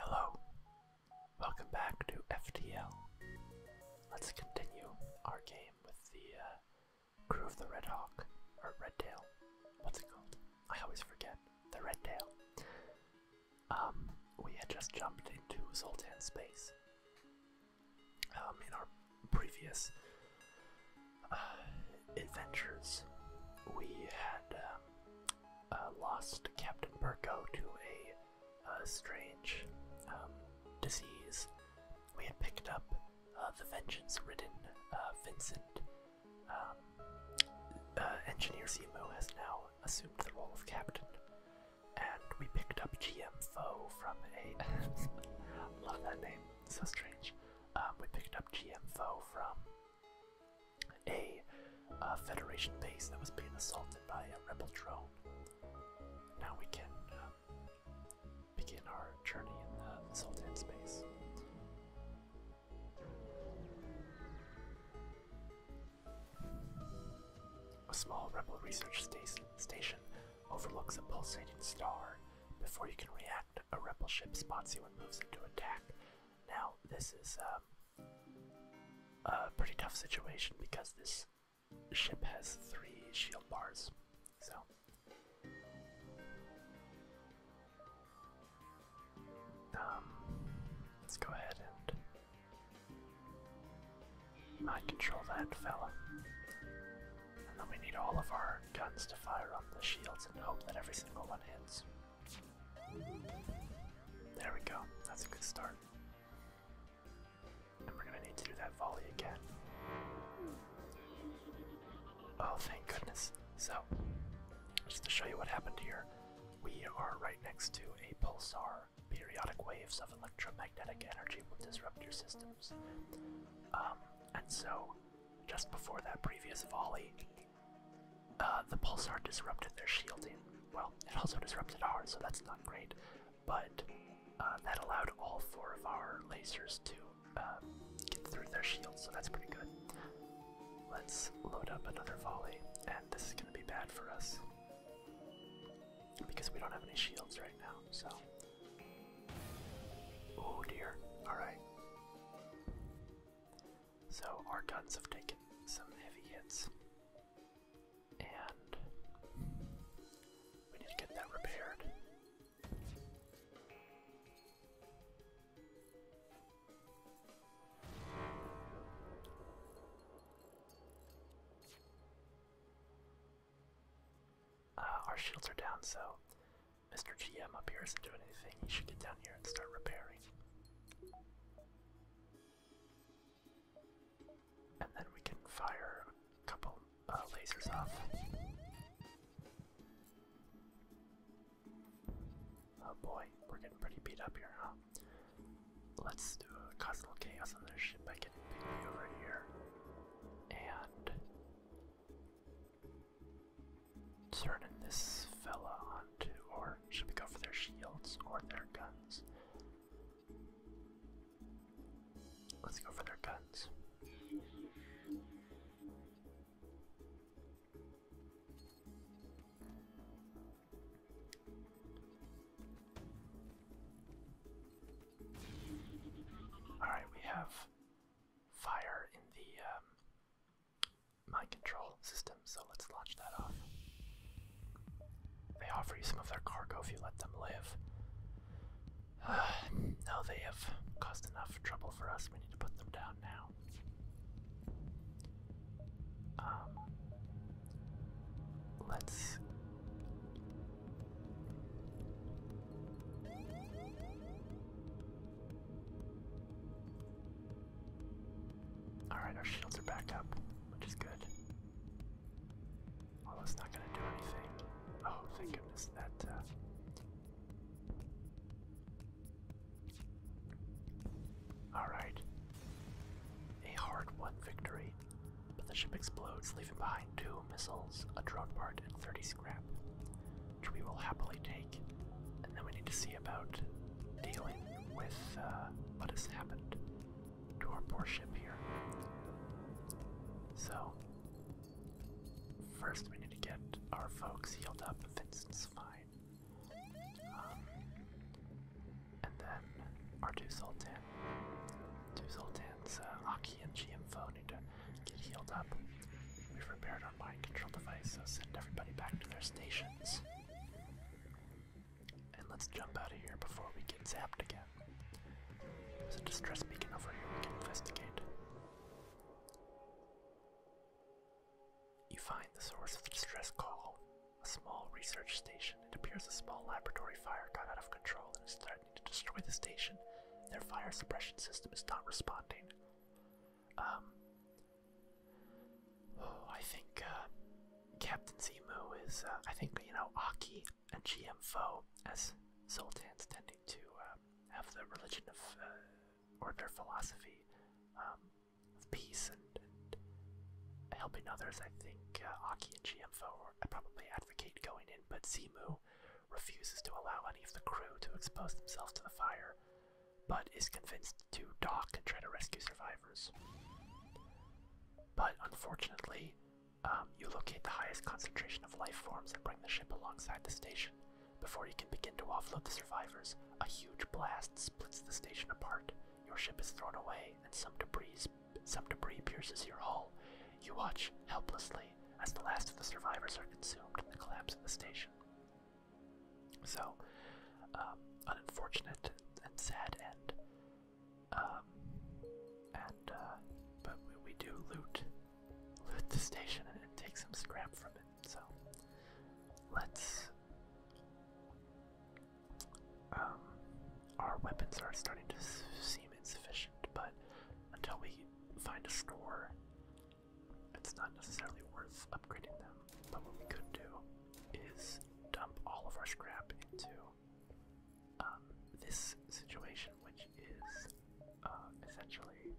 Hello, welcome back to FDL. Let's continue our game with the uh, crew of the Red Hawk, or Red Tail. What's it called? I always forget. The Red Tail. Um, we had just jumped into Zoltan space. Um, in our previous uh, adventures, we had um, uh, lost Captain Burko to a, uh, strange um, disease, we had picked up uh, the vengeance-ridden Vincent. Um, Engineer CMO has now assumed the role of captain, and we picked up GMFO from a. love that name, so strange. Um, we picked up GM from a Federation base that was being assaulted by a rebel drone. Now we can um, begin our journey in the Sultan space. A small rebel research station overlooks a pulsating star. Before you can react, a rebel ship spots you and moves into attack. Now, this is um, a pretty tough situation because this ship has three shield bars. So. Um, let's go ahead and mind control that fella. And then we need all of our guns to fire on the shields and hope that every single one hits. There we go. That's a good start. And we're gonna need to do that volley again. Oh, thank goodness. So, just to show you what happened here, we are right next to a pulsar. Periodic waves of electromagnetic energy will disrupt your systems. Um, and so, just before that previous volley, uh, the pulsar disrupted their shielding. Well, it also disrupted ours, so that's not great. But uh, that allowed all four of our lasers to um, get through their shields, so that's pretty good. Let's load up another volley, and this is going to be bad for us because we don't have any shields right now. So, oh dear. All right. So our guns have taken some heavy hits. And we need to get that repaired. Uh, our shields are down, so Mr. GM up here isn't doing anything. He should get down here and start repairing. And then we can fire a couple uh, lasers off. Oh boy, we're getting pretty beat up here, Let's do a cause little chaos on this ship by getting Piggy over here. And turning this fella on to, or should we go for their shields or their guns? Let's go for their guns. All right, we have fire in the um, mind control system, so let's launch that off. They offer you some of their cargo if you let them live. no, they have caused enough trouble for us. We need to put them down now. Um, let's. Alright, our shields are back up, which is good. Well, oh, that's not going to do anything. Oh, thank goodness that. Uh, Alright. A hard won victory, but the ship explodes, leaving behind two missiles, a drone part, and 30 scrap, which we will happily take. And then we need to see about dealing with uh, what has happened to our poor ship here. So, first we need to get our folks healed up. Vincent's fine. Um, and then our two Sultan. Two Sultans, uh, Aki and GMFO need to get healed up. We've repaired our mind control device, so send everybody back to their stations. And let's jump out of here before we get zapped again. There's a distress beacon over here we can investigate. You find the source of the distress call. A small research station. It appears a small laboratory fire got out of control and is threatening to destroy the station. Their fire suppression system is not responding. Um, Oh, I think uh, Captain Zemu is. Uh, I think you know Aki and GMFO, as Zoltan's tending to uh, have the religion of or their philosophy um, of peace and, helping others. I think Aki and GMFO probably advocate going in, but Zemu refuses to allow any of the crew to expose themselves to the fire but is convinced to dock and try to rescue survivors. But unfortunately, um, you locate the highest concentration of life forms and bring the ship alongside the station. Before you can begin to offload the survivors, a huge blast splits the station apart. Your ship is thrown away, and some debris, some debris pierces your hull. You watch helplessly as the last of the survivors are consumed in the collapse of the station. So, um, unfortunate and sad um, and uh, but we, do loot, loot the station and, take some scrap from it. So, let's. Um, our weapons are starting to seem insufficient, but until we find a store, it's not necessarily worth upgrading them. But what we could do is dump all of our scrap into um, this situation, which is uh, essentially.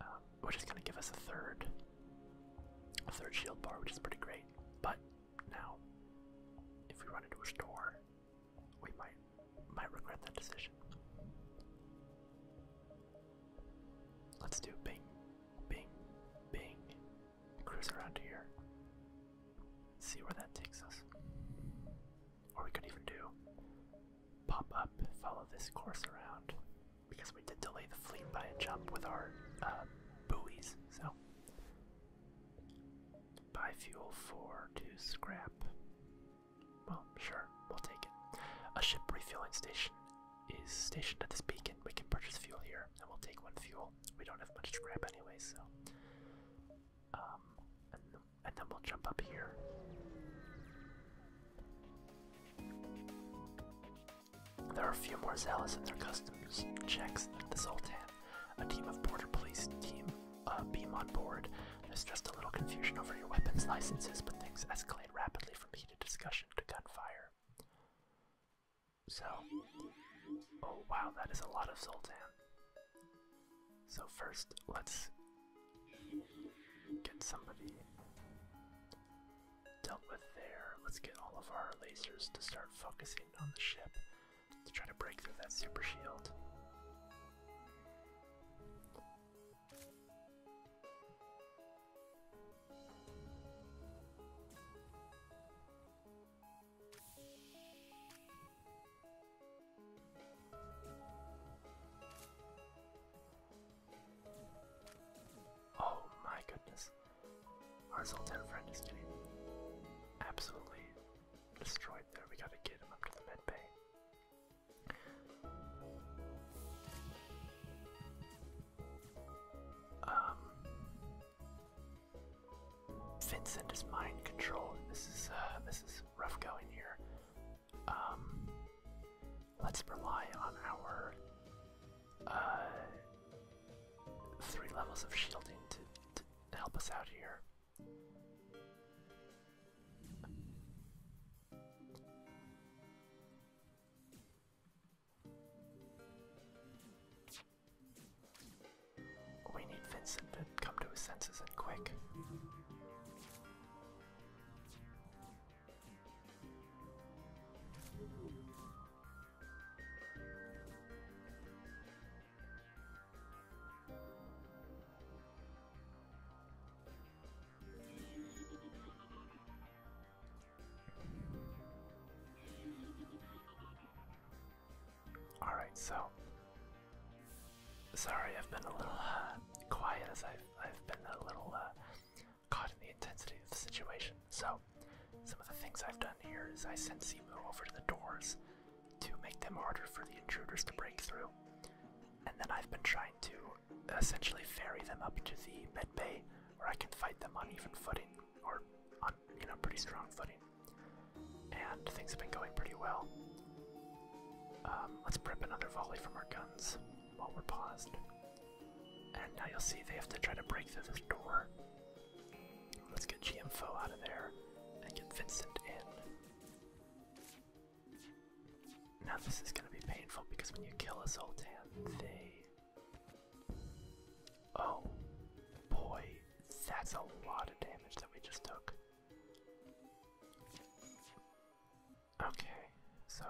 Um, which is going to give us a third, a third shield bar, which is pretty great. But now, if we run into a store, we might might regret that decision. Let's do bing, bing, bing. Cruise around here. See where that takes us. Or we could even do pop up, follow this course around. Because we did delay the fleet by a jump with our uh, buoys, so. Buy fuel for to scrap. Well, sure, we'll take it. A ship refueling station is stationed at this beacon. We can purchase fuel here, and we'll take one fuel. We don't have much scrap anyway, so. Um, and, then we'll jump up here. There are a few more zealots in their customs checks at the Sultan. A team of border police team uh, beam on board. There's just a little confusion over your weapons licenses, but things escalate rapidly from heated discussion to gunfire. So, oh wow, that is a lot of Zoltan. So first, let's get somebody dealt with there. Let's get all of our lasers to start focusing on the ship to try to break through that super shield. Oh my goodness. Our Zoltan is getting absolutely destroyed there. We gotta get him up to the med bay. Um, Vincent is mind controlled. This is uh, this is rough going here. Um, let's rely on our uh, three levels of shielding to help us out here. We need Vincent to come to his senses and quick. Alright, so sorry I've been a little uh, quiet as I've, I've been a little uh, caught in the intensity of the situation. So, some of the things I've done here is I sent Simu over to the doors to make them harder for the intruders to break through. And then I've been trying to essentially ferry them up to the bed bay where I can fight them on even footing or on you know pretty strong footing. And things have been going pretty well. Um, let's prep another volley from our guns while we're paused. And now you'll see they have to try to break through this door. Let's get GMFO out of there and get Vincent in. Now this is gonna be painful because when you kill a Zoltan, they Oh boy, that's a lot of damage that we just took. Okay, so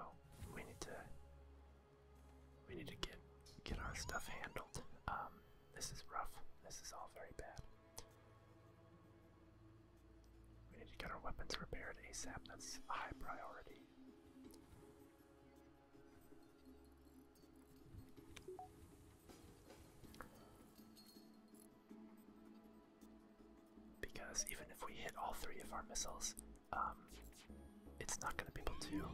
we need to we need to get get our stuff handled. Um, this is rough. This is all very bad. We need to get our weapons repaired ASAP. That's a high priority. Because even if we hit all three of our missiles, um, it's not going to be able to.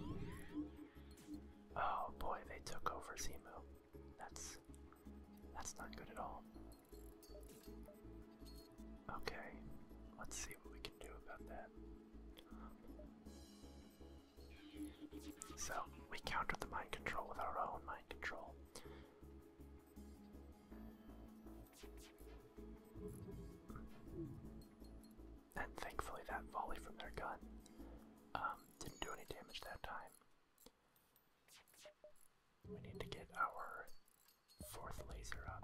Oh boy, they took over Zemu. That's that's not good at all. Okay, let's see so, we counter the mind control with our own mind control. And thankfully, that volley from their gun um, didn't do any damage that time. We need to get our fourth laser up.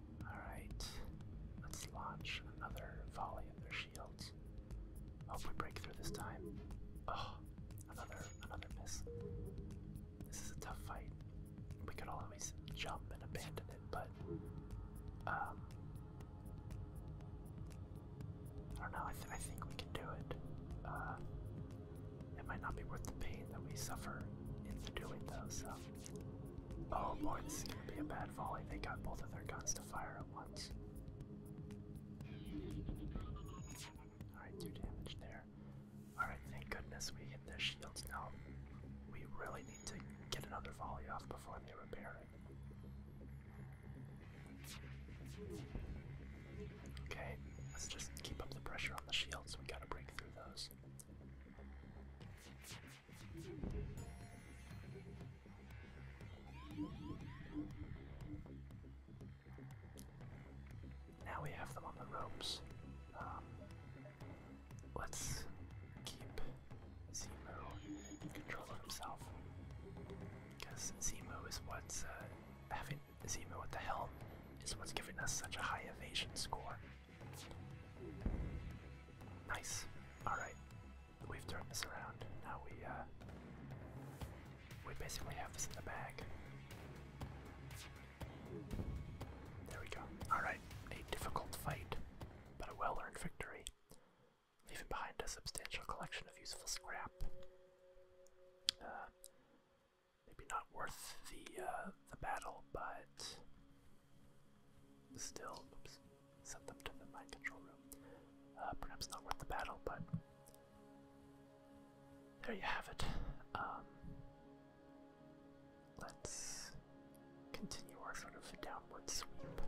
Alright. Let's launch another volley of their shields. Hope oh, we break through this time. Oh, another another miss. This is a tough fight. We could always jump and abandon it, but um I don't know, I, I think we can do it. Uh it might not be worth the pain that we suffer in doing though, so Oh boy, this is gonna be a bad volley. They got both of their guns to fire at once. Alright, two damage there. Alright, thank goodness we hit their shields now. We really need to get another volley off before they repair it. Okay, let's just keep up the pressure on the shields. We gotta break through those. Now we have them on the ropes. Um, let's keep Zemo in control of himself. Because Zemo is what's uh, having Zemo at the helm is what's giving us such a high evasion score. Nice. Alright, we've turned this around. Now we uh, we basically have this in the bag. There we go. Alright, a difficult fight, but a well-earned victory, leaving behind a substantial collection of useful scrap. Uh, maybe not worth the uh, the battle, but Still, oops, sent them to the mind control room. Uh, perhaps not worth the battle, but there you have it. Um, let's continue our sort of downward sweep.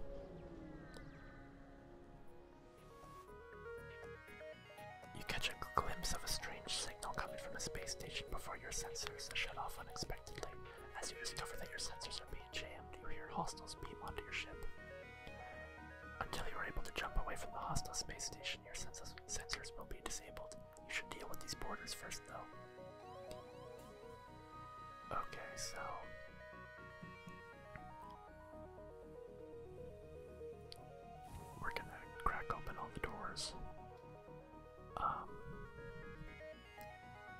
You catch a glimpse of a strange signal coming from the space station before your sensors shut off unexpectedly as you discover that your sensors are being jammed, you hear hostiles beam onto your ship. Until you are able to jump away from the hostile space station, your sensors will be disabled. You should deal with these borders first, though. Okay, so. We're gonna crack open all the doors. Um,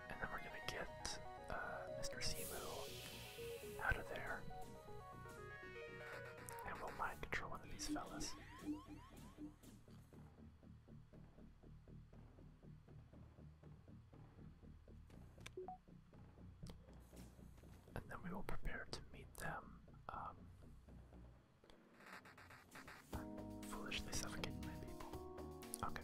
and then we're gonna get uh, Mr. Simu out of there. And we'll mind control one of these fellas. And then we will prepare to meet them. Um, foolishly suffocating my people. Okay.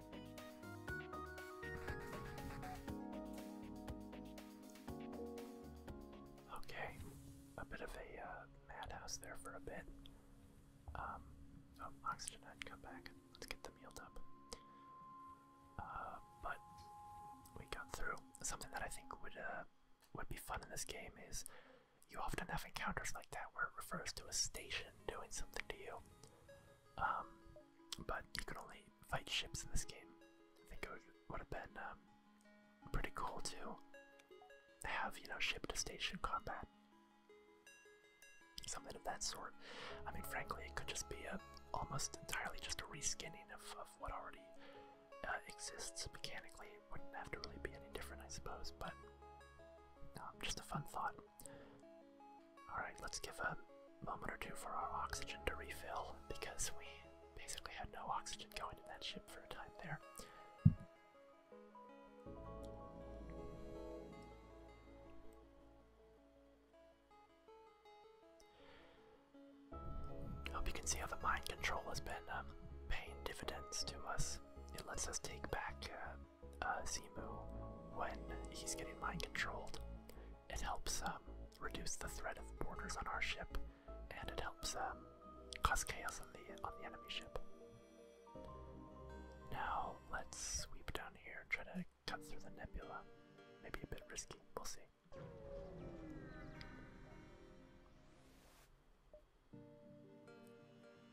Okay, a bit of a uh, madhouse there for a bit. Um, oh, oxygen had come back. Let's get them healed up. Uh, but we got through. Something that I think would uh, would be fun in this game is you often have encounters like that where it refers to a station doing something to you. Um, but you could only fight ships in this game. I think it would, have been um, pretty cool to have, you know, ship to station combat. Something of that sort. I mean, frankly, it could just be a, almost entirely just a reskinning of, of what already uh, exists mechanically. It wouldn't have to really be any different, I suppose, but um, just a fun thought. Alright, let's give a moment or two for our oxygen to refill because we basically had no oxygen going in that ship for a time there. Hope you can see how the mind control has been um, paying dividends to us. It lets us take back uh, uh, when he's getting mind controlled. It helps um, reduce the threat of boarders on our ship, and it helps um, cause chaos on the on the enemy ship. Now let's sweep down here try to cut through the nebula. Maybe a bit risky. We'll see.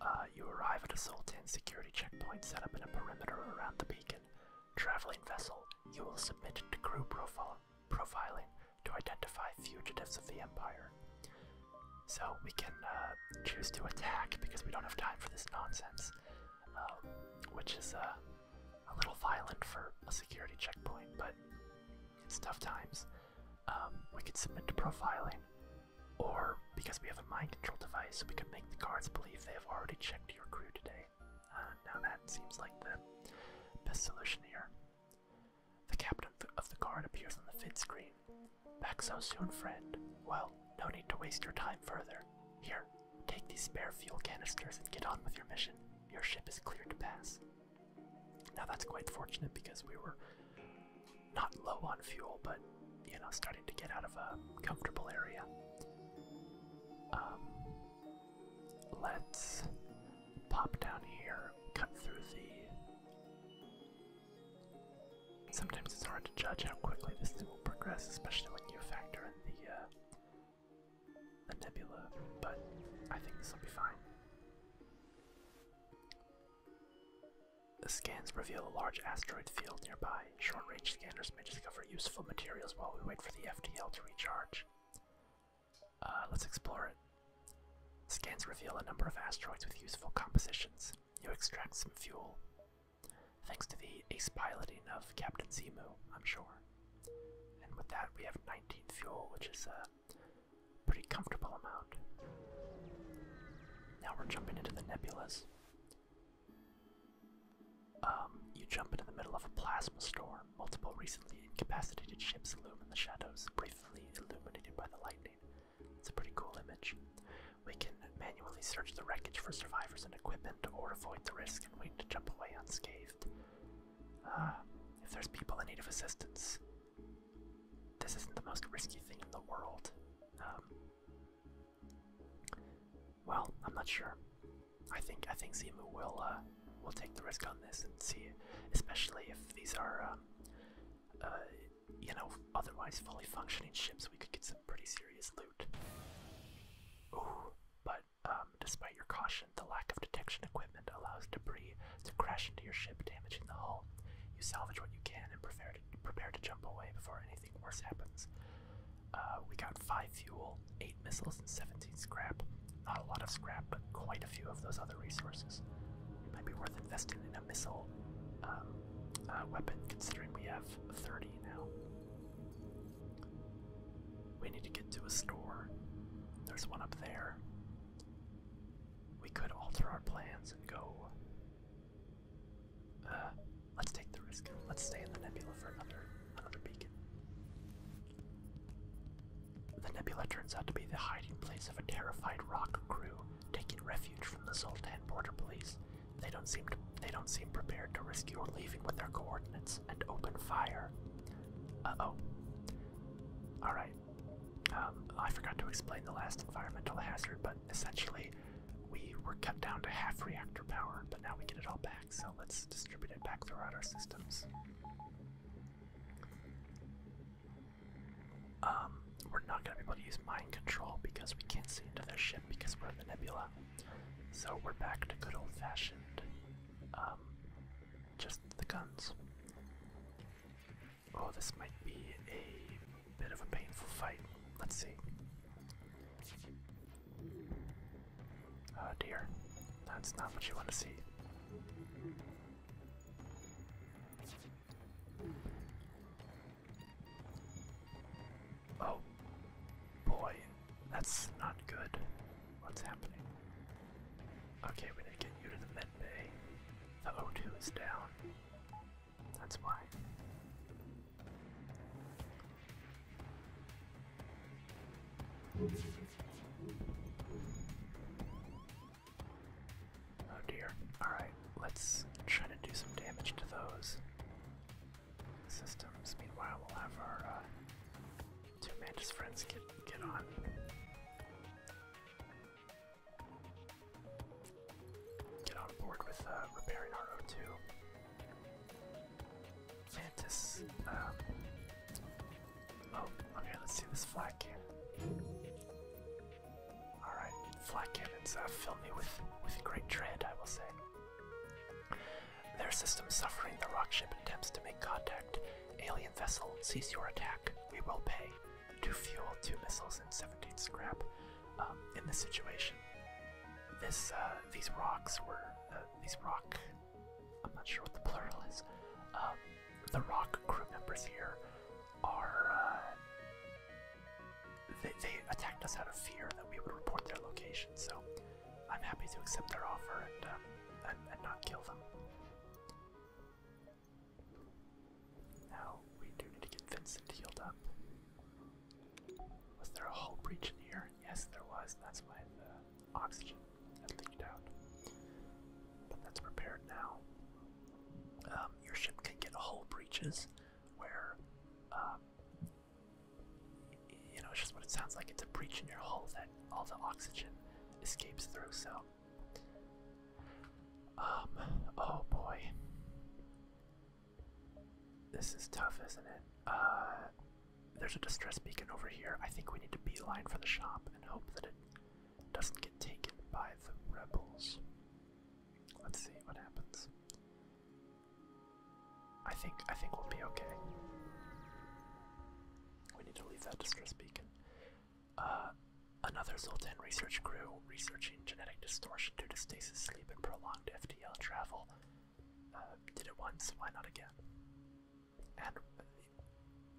Uh, you arrive at a Sultan security checkpoint set up in a perimeter around the beacon. Traveling vessel, you will submit to crew profile profiling to identify fugitives of the Empire. So we can uh, choose to attack because we don't have time for this nonsense, um, which is uh, a little violent for a security checkpoint, but it's tough times. Um, we could submit to profiling, or because we have a mind control device, we can make the guards believe they have already checked your crew today. Uh, now that seems like the best solution here. The captain of the guard appears on the FID screen. Back so soon, friend. Well, no need to waste your time further. Here, take these spare fuel canisters and get on with your mission. Your ship is cleared to pass. Now that's quite fortunate because we were not low on fuel, but you know, starting to get out of a comfortable area. Um, let's pop down here, cut through the. Sometimes it's hard to judge how quickly this thing will progress, especially when you factor in the uh, the nebula. But I think this will be fine. The scans reveal a large asteroid field nearby. Short range scanners may discover useful materials while we wait for the FDL to recharge. Uh, let's explore it. Scans reveal a number of asteroids with useful compositions. You extract some fuel. Thanks to the ace piloting of Captain Zemu, I'm sure. And with that, we have 19 fuel, which is a pretty comfortable amount. Now we're jumping into the nebulas. Um, you jump into the middle of a plasma storm. Multiple recently incapacitated ships loom in the shadows, briefly illuminated by the lightning. It's a pretty cool image. We can manually search the wreckage for survivors and equipment, or avoid the risk and wait to jump away unscathed. Uh, if there's people in need of assistance, this isn't the most risky thing in the world. Um, well, I'm not sure. I think I think Zimu will uh, will take the risk on this and see, especially if these are um, uh, you know otherwise fully functioning ships, we could get some pretty serious loot. Ooh, but um, despite your caution, the lack of detection equipment allows debris to crash into your ship, damaging the hull. You salvage what you can and prepare to prepare to jump away before anything worse happens. Uh, we got five fuel, eight missiles, and 17 scrap. Not a lot of scrap, but quite a few of those other resources. It Might be worth investing in a missile um, uh, weapon, considering we have 30 now. We need to get to a store. There's one up there. We could alter our plans and go. Uh, Let's take the risk. Let's stay in the nebula for another another beacon. The nebula turns out to be the hiding place of a terrified rock crew taking refuge from the Zoltan border police. They don't seem to, they don't seem prepared to risk your leaving with their coordinates and open fire. Uh-oh. Alright. Um, I forgot to explain the last environmental hazard, but essentially we were cut down to half reactor power, but now we get it all back so let's distribute it back throughout our systems. Um, we're not going to be able to use mind control because we can't see into this ship because we're in the nebula. So we're back to good old fashioned, um, just the guns. Oh, this might be a bit of a painful fight. Let's see. Oh dear, that's not what you want to see. Oh boy, that's not good. What's happening? Okay, we need to get you to the med bay. The 0 is down. That's why. Oh dear. Alright, let's try to do some damage to those systems. Meanwhile, we'll have our uh, two mantis friends get, get on. Get on board with uh, repairing our O2. Mantis. Um, oh, okay, let's see this flat cannon. Alright, flat cannons uh, fill me with, with great dread, I will say. Their system suffering the rock ship attempts to make contact. Alien vessel, cease your attack. We will pay. Two fuel, two missiles, and 17 scrap. Um, in this situation, this uh, these rocks were uh, these rock, I'm not sure what the plural is. Um, the rock crew members here are, uh, they, attacked us out of fear that we would report their location, so I'm happy to accept their offer and, um, and, and not kill them. Now, we do need to get Vincent healed up. Was there a hull breach in here? Yes, there was. That's why the oxygen had leaked out. But that's prepared now. Um, your ship can get hull breaches where, uh, you know, just what it sounds like. It's a breach in your hull that all the oxygen escapes through, so. Um, oh boy. This is tough, isn't it? Uh, there's a distress beacon over here. I think we need to beeline for the shop and hope that it doesn't get taken by the rebels. Let's see what happens. I think I think we'll be okay. We need to leave that distress beacon. Uh, another Zoltan research crew researching genetic distortion due to stasis sleep and prolonged FTL travel. Uh, did it once, why not again? And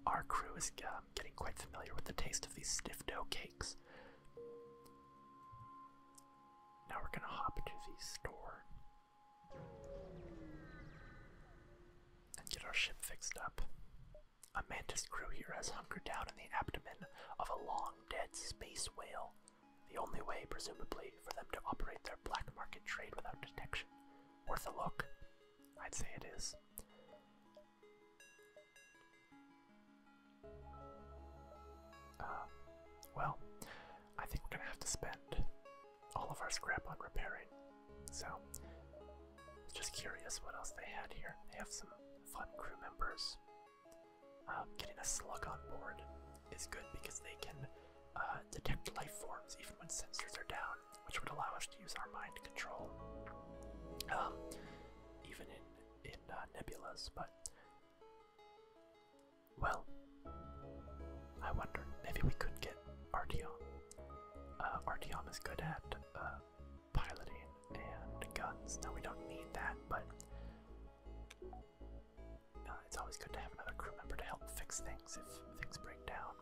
our crew is um, getting quite familiar with the taste of these stiff dough cakes. Now we're gonna hop to the store and get our ship fixed up. A mantis crew here has hunkered down in the abdomen of a long dead space whale. The only way, presumably, for them to operate their black market trade without detection. Worth a look? I'd say it is. Uh, well, I think we're gonna have to spend all of our scrap on repairing. So, just curious what else they had here. They have some fun crew members. Uh, getting a slug on board is good because they can uh, uh, detect life forms even when sensors are down, which would allow us to use our mind control, um, even in in uh, But well, I wonder maybe we could get Artyom. Uh, Artyom is good at uh, piloting and guns. Now we don't need that, but uh, it's always good to have another crew member to help fix things if things break down.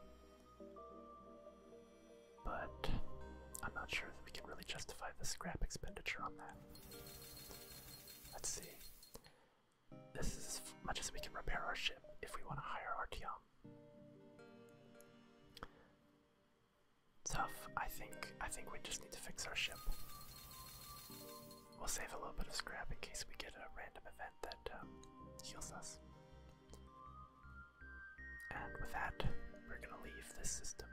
But I'm not sure that we can really justify the scrap expenditure on that. Let's see. This is as much as we can repair our ship if we want to hire Artyom. Tough. I think I think we just need to fix our ship. We'll save a little bit of scrap in case we get a random event um, heals us. And with that, we're gonna leave this system.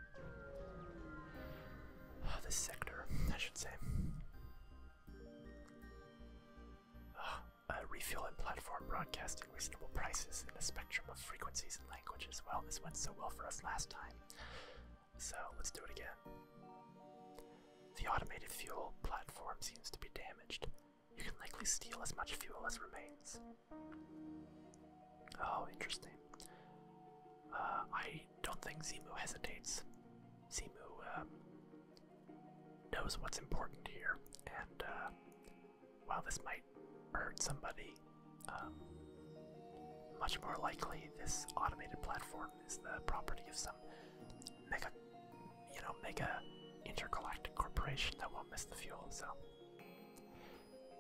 Uh, this sector, I should say. Oh, a refueling platform broadcasting reasonable prices in a spectrum of frequencies and languages. Well, this went so well for us last time. So let's do it again. The automated fuel platform seems to be damaged. You can likely steal as much fuel as remains. Oh, interesting. Uh, I don't think Zimu hesitates. Zimu um, knows what's important here, and uh, while this might hurt somebody, um, much more likely this automated platform is the property of some make a you know make a intergalactic corporation that won't miss the fuel. So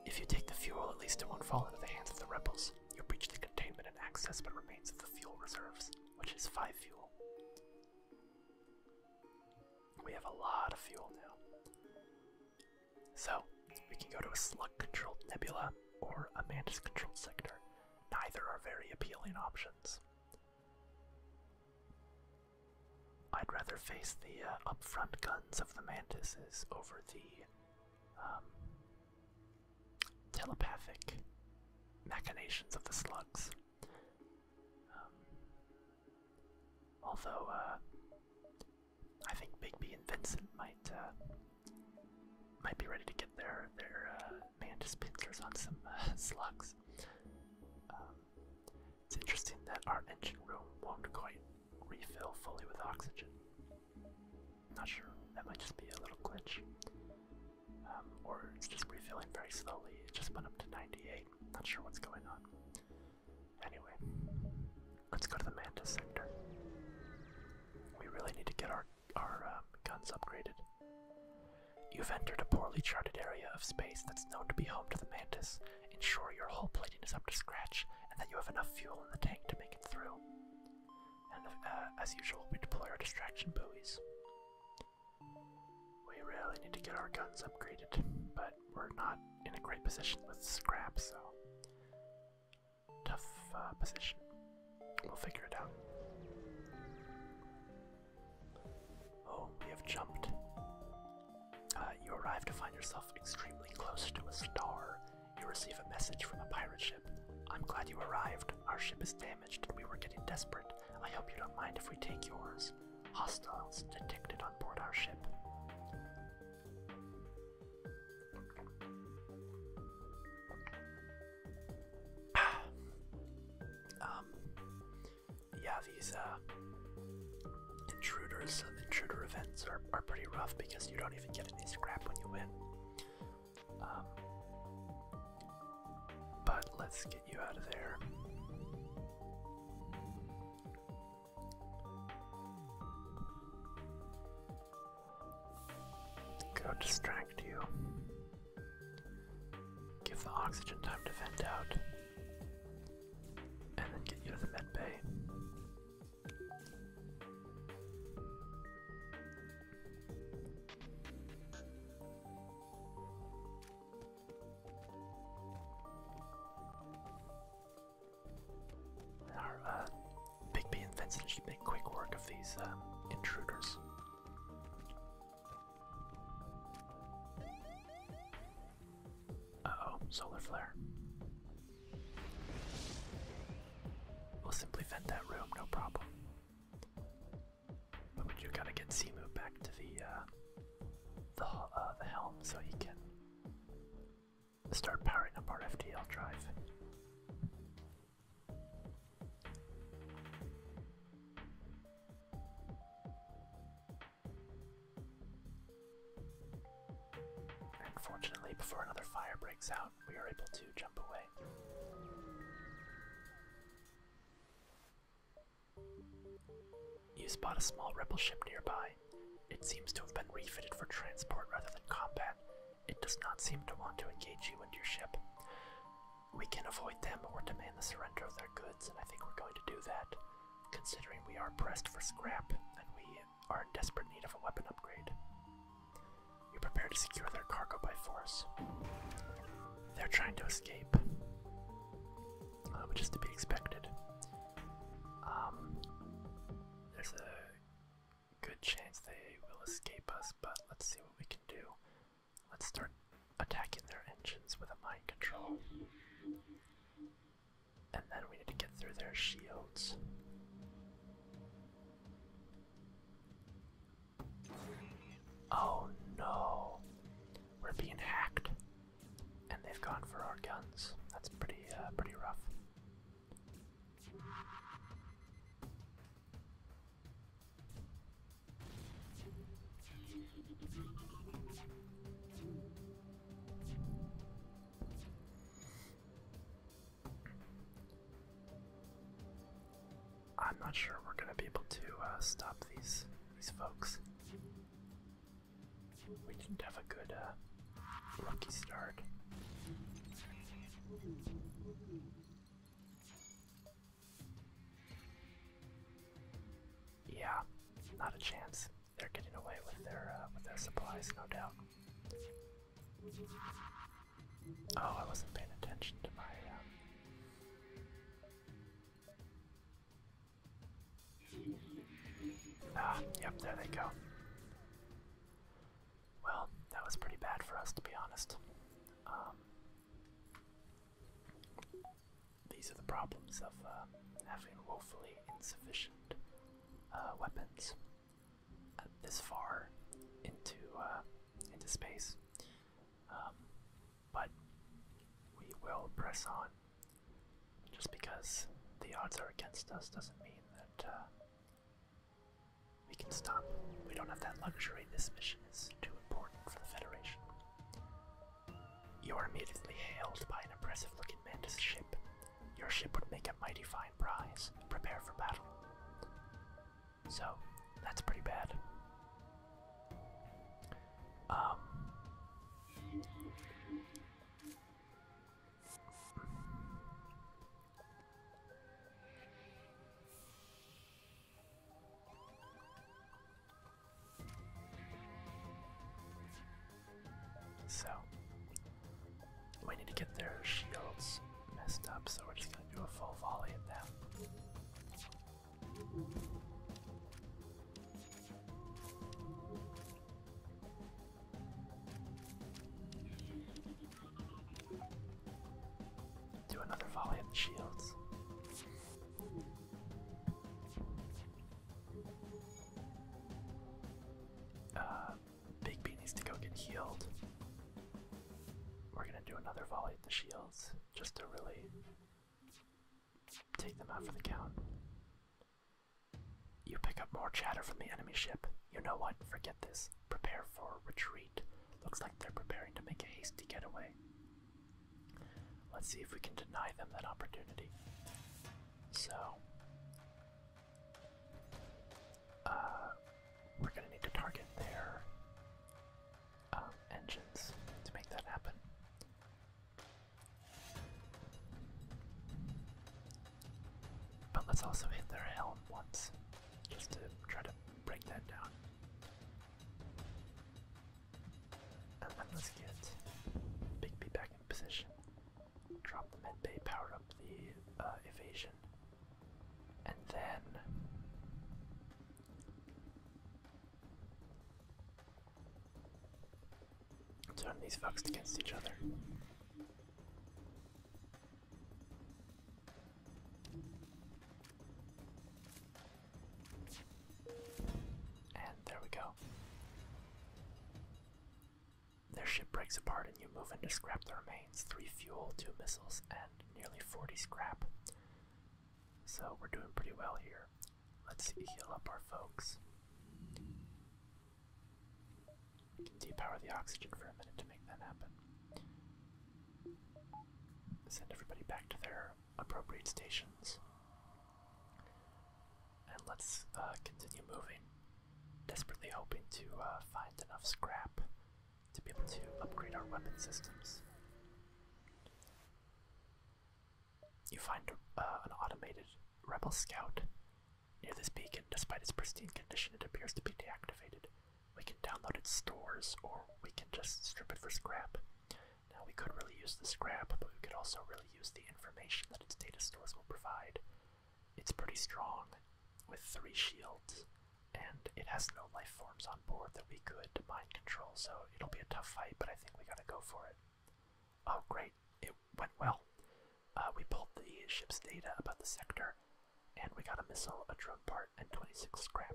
if you take the fuel, at least it won't fall into the hands of the rebels. You breach the containment and access but remains of the fuel reserves, which is five fuel. We have a lot of fuel now. So, we can go to a slug controlled nebula or a mantis controlled sector. Neither are very appealing options. I'd rather face the uh, upfront guns of the mantises over the um, telepathic machinations of the slugs. Um, although, uh, I think Bigby and Vincent might uh, might be ready to get their their uh, mantis pincers on some uh, slugs. Um, it's interesting that our engine room won't quite refill fully with oxygen. Not sure, that might just be a little glitch. Um, or it's just refilling very slowly. It just went up to 98. Not sure what's going on. Anyway, let's go to the Mantis sector. We really need to get our our, um, guns upgraded. You've entered a poorly charted area of space that's known to be home to the mantis. Ensure your hull plating is up to scratch and that you have enough fuel in the tank to make it through. And uh, as usual, we deploy our distraction buoys. We really need to get our guns upgraded, but we're not in a great position with scrap, so. Tough uh, position. We'll figure it out. Oh, we have jumped. Uh, you arrive to find yourself extremely close to a star. You receive a message from a pirate ship. I'm glad you arrived. Our ship is damaged and we were getting desperate. I hope you don't mind if we take yours. Hostiles detected on board our ship. Um, yeah, these uh, intruders and intruder events are, pretty rough because you don't even get any scrap when you win. Um, but let's get you out of there. Go distract you. Give the oxygen time to vent out. And then get you to the med bay. Our uh, and Vincent should make quick work of these uh, intruders. Uh-oh, solar flare. We'll simply vent that room, no problem. But we do gotta get Simu back to the uh, the uh, the helm so he can start powering up our FTL drive. And before another fire breaks out, we are able to jump away. You spot a small rebel ship nearby. It seems to have been refitted for transport rather than combat. It does not seem to want to engage you and your ship. We can avoid them or demand the surrender of their goods, and I think we're going to do that, considering we are pressed for scrap and we are in desperate need of a weapon upgrade. We prepare to secure their cargo by force. They're trying to escape, uh, which is to be expected. Um, there's a good chance they will escape us, but let's see what we can do. Let's start attacking their engines with a mind control. And then we need to get through their shields. Oh no! We're being hacked. And they've gone for our guns. That's pretty uh, pretty rough. I'm not sure we're going to be able to uh, stop these these folks. We didn't have a good uh, rookie start. Yeah, not a chance. They're getting away with their uh, with their supplies, no doubt. Oh, I wasn't paying attention to my. Uh, ah, yep, there they go. Well, that was pretty bad for us, to be honest. Um, these are the problems of uh, having woefully insufficient uh, weapons uh, this far into into space. Um, but we will press on. Just because the odds are against us doesn't mean that we can stop. We don't have that luxury. This mission is too important for the Federation. You are immediately hailed by an impressive looking mantis ship. Your ship would make a mighty fine prize. Prepare for battle. So, that's pretty bad. Um. So, we need to get their shields messed up, so we're just going to do a full volley at them. Do another volley of the shields. Uh, Big B needs to go get healed. We're gonna do another volley at the shields just to really take them out for the count. You pick up more chatter from the enemy ship. You know what? Forget this. Prepare for retreat. Looks like they're preparing to make a hasty getaway. Let's see if we can deny them that opportunity. So, uh, we're going to need to target their um, engines to make that happen. But let's also hit their helm once, just to try to break that down. And then let's get Bigby back in position. Drop the mid bay, power up the uh, evasion. And then turn these fucks against each other. And there we go. Their ship breaks apart and you move into scrap the remains. Three fuel, two missiles, and nearly 40 scrap. So we're doing pretty well here. Let's heal up our folks. depower the oxygen for a minute to make that happen. Send everybody back to their appropriate stations. And let's uh, continue moving, desperately hoping to uh, find enough scrap to be able to upgrade our weapon systems. You find uh, an automated rebel scout near this beacon. Despite its pristine condition, it appears to be deactivated. We can download its stores, or we can just strip it for scrap. Now, we could really use the scrap, but we could also really use the information that its data stores will provide. It's pretty strong, with three shields, and it has no life forms on board that we could mind control, so it'll be a tough fight, but I think we gotta go for it. Oh, great, it went well. Uh, we pulled the ship's data about the sector, and we got a missile, a drone part, and 26 scrap.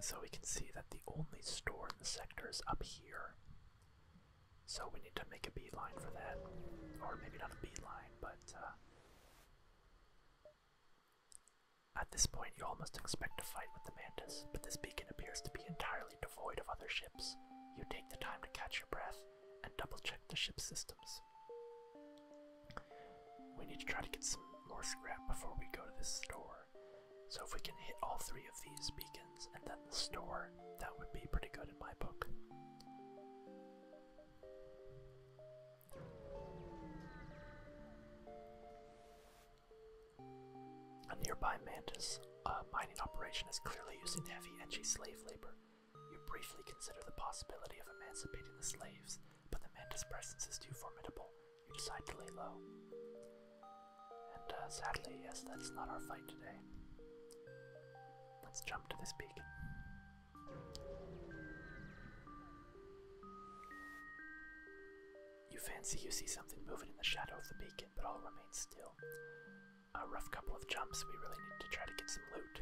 So we can see that the only store in the sector is up here. So we need to make a bee line for that. Or maybe not a bee line, but uh, at this point you almost expect to fight with the mantis, but this beacon appears to be entirely devoid of other ships. You take the time to catch your breath and double check the ship systems. We need to try to get some more scrap before we go to this store. So if we can hit all three of these beacons and then the store, that would be pretty good in my book. A nearby Mantis mining operation is clearly using heavy, edgy slave labor. You briefly consider the possibility of emancipating the slaves, but the Mantis presence is too formidable, you decide to lay low. And uh, sadly, yes, that's not our fight today. Let's jump to this beacon. You fancy you see something moving in the shadow of the beacon, but all remains still. A rough couple of jumps, we really need to try to get some loot.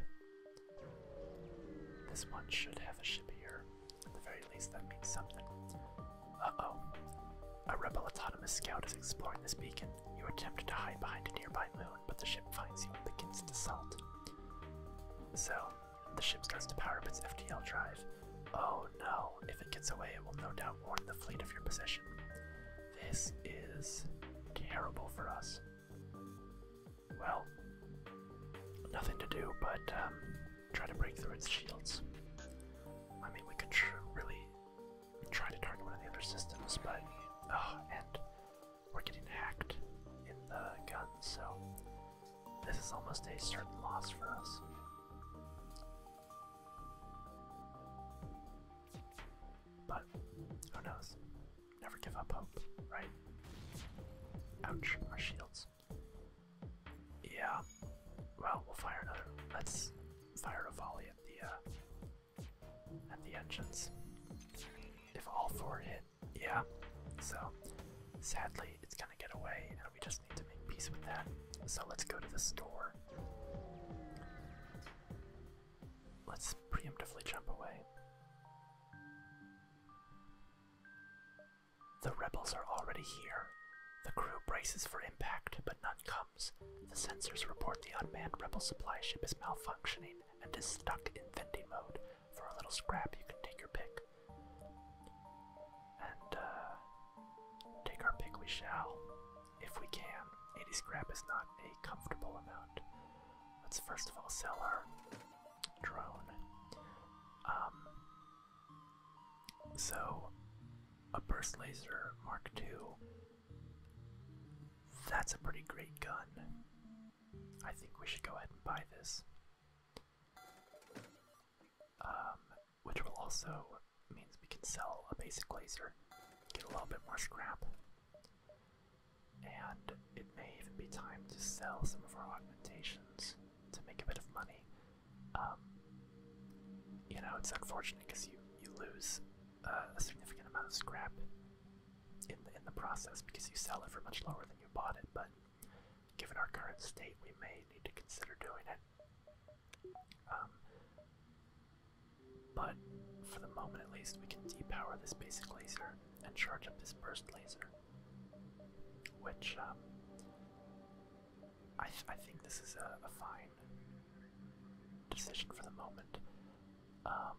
This one should have a ship here. At the very least, that means something. Uh-oh. A rebel autonomous scout is exploring this beacon. You attempt to hide behind a nearby moon, but the ship finds you and begins to assault. So, the ship starts to power up its FTL drive. Oh no, if it gets away, it will no doubt warn the fleet of your position. This is terrible for us. Well, nothing to do but um, try to break through its shields. I mean, we could really try to target one of the other systems, but oh, and we're getting hacked in the gun, so this is almost a certain loss for us. But who knows? Never give up hope, right? Ouch, our shields. Yeah. Well, we'll fire another. Let's fire a volley at the uh, at the engines. If all four hit, yeah. So sadly, it's gonna get away, and we just need to make peace with that. So let's go to the store. Let's preemptively jump away. The rebels are already here. The crew braces for impact, but none comes. The sensors report the unmanned rebel supply ship is malfunctioning and is stuck in vending mode. For a little scrap, you can take your pick. And, uh, take our pick we shall, if we can. 80 scrap is not a comfortable amount. Let's first of all sell our drone. Um, so, a burst laser Mark II. That's a pretty great gun. I think we should go ahead and buy this. Um, which will also means we can sell a basic laser, get a little bit more scrap, and it may even be time to sell some of our augmentations to make a bit of money. Um, you know, it's unfortunate because you you lose uh, a significant amount of scrap in the, in the process because you sell it for much lower than you bought it. But given our current state, we may need to consider doing it. Um, but for the moment, at least, we can depower this basic laser and charge up this burst laser, which um, I, I think this is a, fine decision for the moment. Um,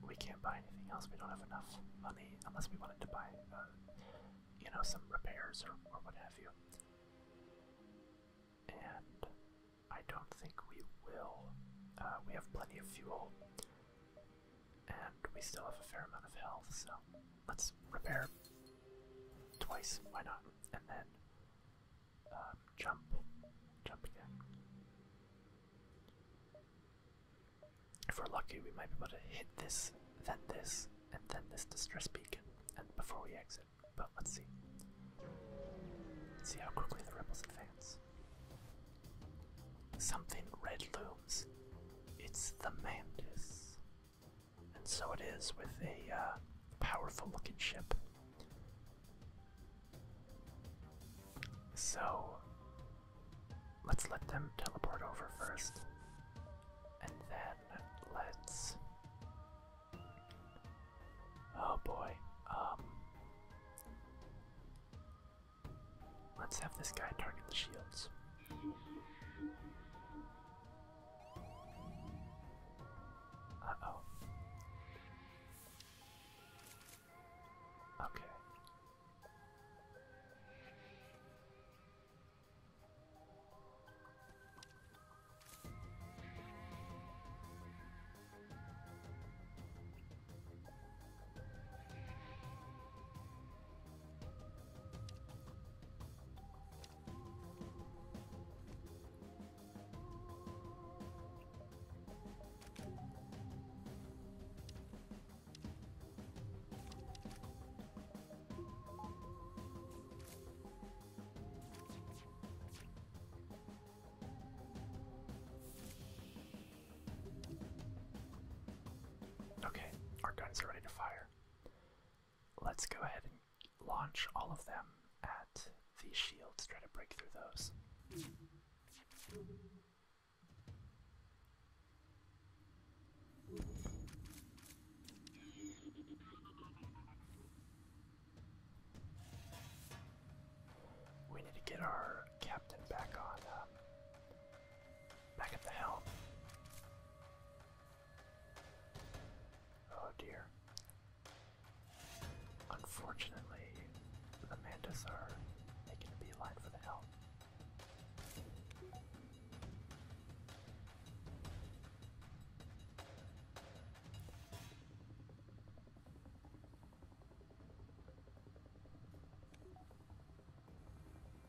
we can't buy anything else. We don't have enough money unless we wanted to buy, uh, you know, some repairs or, or what have you. And I don't think we will. Uh, we have plenty of fuel, and we still have a fair amount of health, so let's repair twice, why not? And then um, jump, jump again. If we're lucky, we might be able to hit this, then this, and then this distress beacon, and before we exit. But let's see. Let's see how quickly the rebels advance. Something red looms. It's the mantis. And so it is with a uh, powerful looking ship. So let's let them teleport over first. And then let's. Oh boy. Um. Let's have this guy target the shields. Uh-oh. Okay. Okay, our guns are ready to fire let's go ahead and launch all of them at the shields, try to break through those. We need to get our captain back on, um, back at the helm. Oh dear. Unfortunately, the mantas are making a for the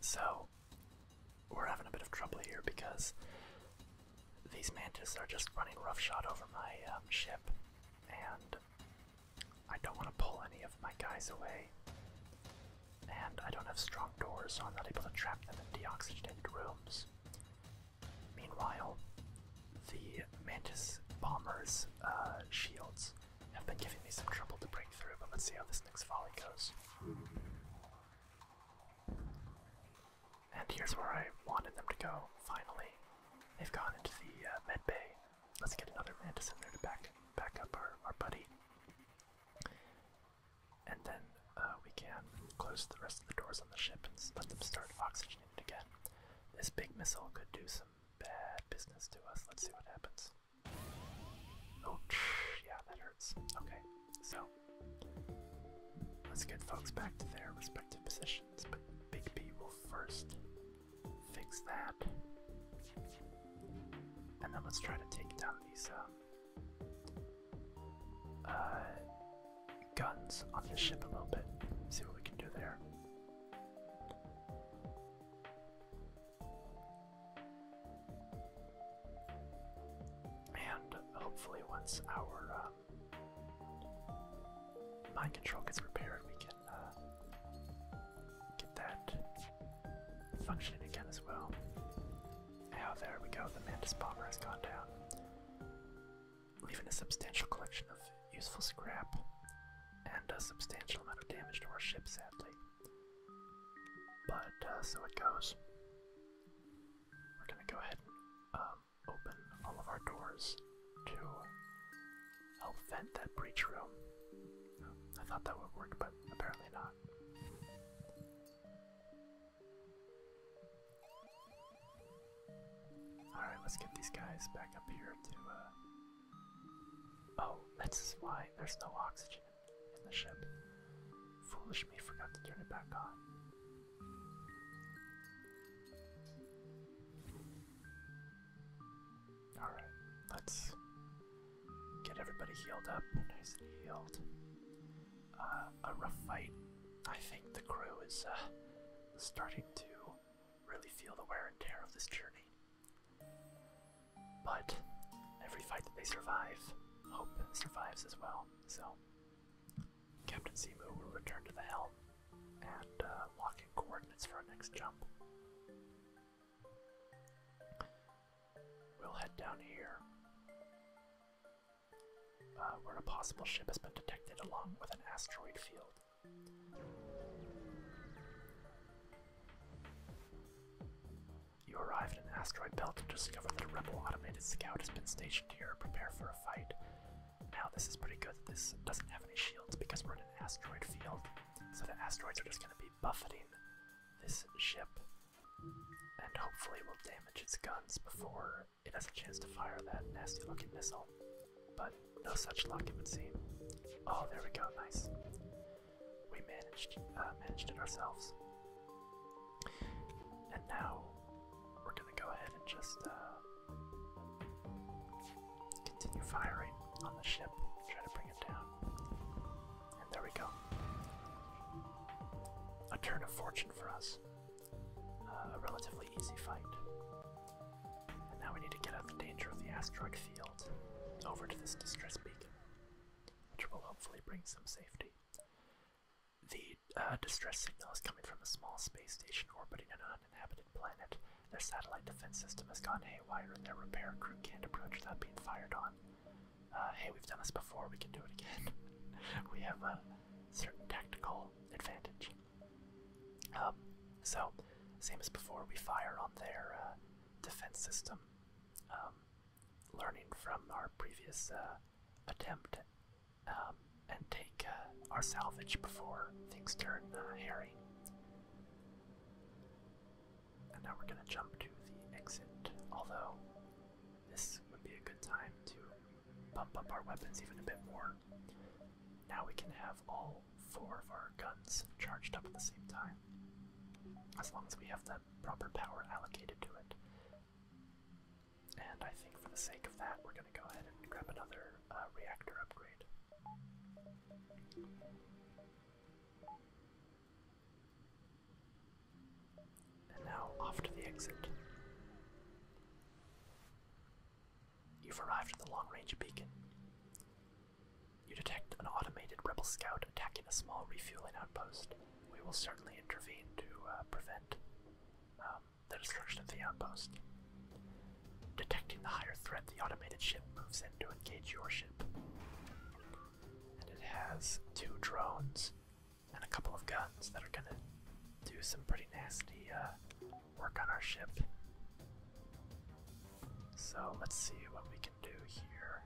So, we're having a bit of trouble here because these mantis are just running roughshod over my um, ship, and I don't want to pull any of my guys away. And I don't have strong doors, so I'm not able to trap them in deoxygenated rooms. Meanwhile, the mantis bomber's uh, shields have been giving me some trouble to break through, but let's see how this next volley goes. And here's where I wanted them to go, finally. They've gone into the uh, med bay. Let's get another man to send there to back, back up our, our buddy. And then uh, we can close the rest of the doors on the ship and let them start oxygenating again. This big missile could do some bad business to us. Let's see what happens. Oh Ouch. Yeah, that hurts. Okay, so let's get folks back to their respective positions, but Big B will first fix that. And then let's try to take down these um, uh, guns on the ship a little bit. See what we can do there. And hopefully, once our um, mind control gets repaired, we can uh, get that functioning again as well. Now, there we go, the Mantis Bomber has gone down, leaving a substantial collection of useful scrap and a substantial amount of damage to our ship, sadly. But uh, so it goes. We're gonna go ahead and um, open all of our doors to help vent that breach room. I thought that would work, but apparently not. Alright, let's get these guys back up here to, uh... Oh, that's why there's no oxygen in the ship. Foolish me forgot to turn it back on. Alright, let's get everybody healed up. Nice and healed. Uh, a rough fight. I think the crew is uh, starting to really feel the wear and tear of this journey. But every fight that they survive, Hope survives as well. So Captain Simu will return to the helm and uh, lock in coordinates for our next jump. We'll head down here, uh, where a possible ship has been detected along with an asteroid field. You arrive at an asteroid belt and discover that a rebel automated scout has been stationed here. Prepare for a fight. Now, this is pretty good that this doesn't have any shields because we're in an asteroid field. So the asteroids are just going to be buffeting this ship. And hopefully, will damage its guns before it has a chance to fire that nasty looking missile. But no such luck, it would seem. Oh, there we go, nice we managed uh, managed it ourselves. And now we're gonna go ahead and just uh, continue firing on the ship, try to bring it down. And there we go. A turn of fortune for us. Uh, a relatively easy fight. And now we need to get out of the danger of the asteroid field over to this distress beacon which will hopefully bring some safety. The uh, distress signal is coming from a small space station orbiting an uninhabited planet. Their satellite defense system has gone haywire and their repair crew can't approach without being fired on. Uh, hey, we've done this before, we can do it again. we have a certain tactical advantage. Um, so, same as before, we fire on their uh, defense system. Um, learning from our previous uh, attempt um, and take uh, our salvage before things turn uh, hairy. And now we're going to jump to the exit, although this would be a good time to bump up our weapons even a bit more. Now we can have all four of our guns charged up at the same time, as long as we have them proper power allocated to it. And I think for the sake of that, we're going to go ahead and grab another uh, reactor upgrade. And now off to the exit. You've arrived at the long range beacon. You detect an automated rebel scout attacking a small refueling outpost we will certainly intervene to uh, prevent um, the destruction of the outpost. Detecting the higher threat, the automated ship moves in to engage your ship. And it has two drones and a couple of guns that are gonna do some pretty nasty uh, work on our ship. So let's see what we can do here.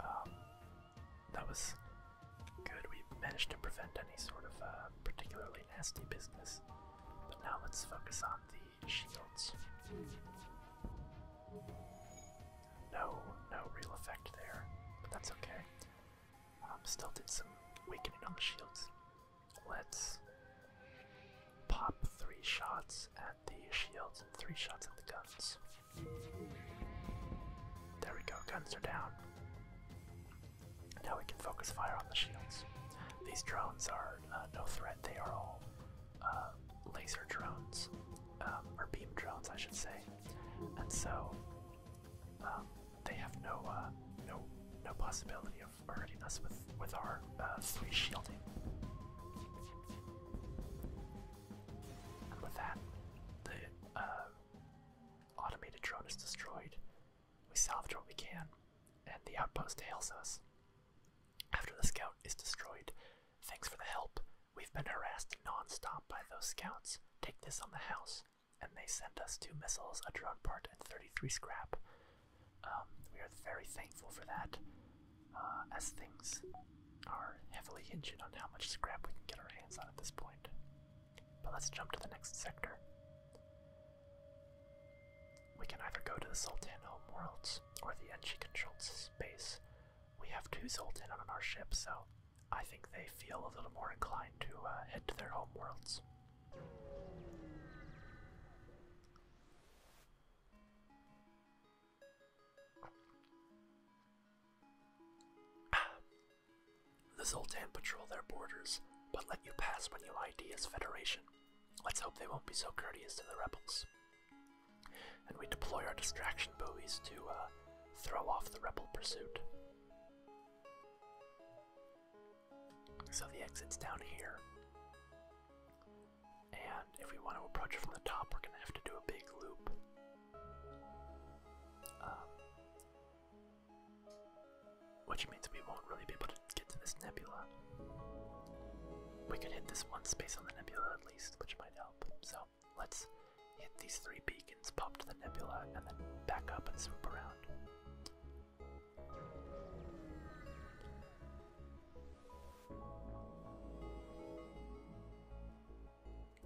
Um, that was good. We managed to prevent any sort of uh, particularly nasty business. But now let's focus on the shields. No, no real effect there, but that's okay. Um, still did some weakening on the shields. Let's pop three shots at the shields and three shots at the guns. There we go, guns are down. Now we can focus fire on the shields. These drones are uh, no threat, they are all uh, laser drones, um, or beam drones, I should say. And so um, they have no, uh, no, no possibility of hurting us with with our uh, three shielding. And with that, the uh, automated drone is destroyed. We salvage what we can, and the outpost hails us. After the scout is destroyed, thanks for the help. We've been harassed non-stop by those scouts. Take this on the house, and they send us two missiles, a drone part, and 33 scrap. Um, we are very thankful for that, uh, as things are heavily hinged on how much scrap we can get our hands on at this point. But let's jump to the next sector. We can either go to the Sultan homeworlds or the Enchi controlled space. We have two Sultan on our ship, so I think they feel a little more inclined to uh, head to their homeworlds. The Zoltan patrol their borders, but let you pass when you ID as Federation. Let's hope they won't be so courteous to the rebels. And we deploy our distraction buoys to uh, throw off the rebel pursuit. So the exit's down here. And if we want to approach it from the top, we're going to have to do a big loop. Um, which means we won't really be able to get to this nebula. We could hit this one space on the nebula at least, which might help. So let's hit these three beacons, pop to the nebula, and then back up and swoop around.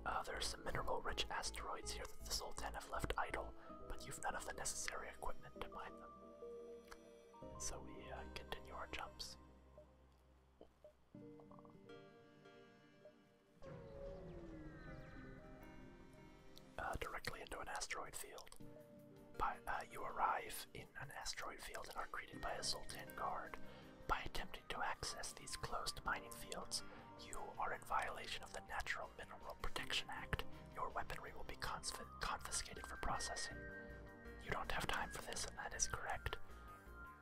Uh, there are some mineral-rich asteroids here that the Sultan have left idle, but you've none of the necessary equipment to mine them. So we uh, continue our jumps. Uh, directly into an asteroid field. But uh, you arrive in an asteroid field and are greeted by a Zoltan guard. By attempting to access these closed mining fields, you are in violation of the Natural Mineral Protection Act. Your weaponry will be confiscated for processing. You don't have time for this, and that is correct.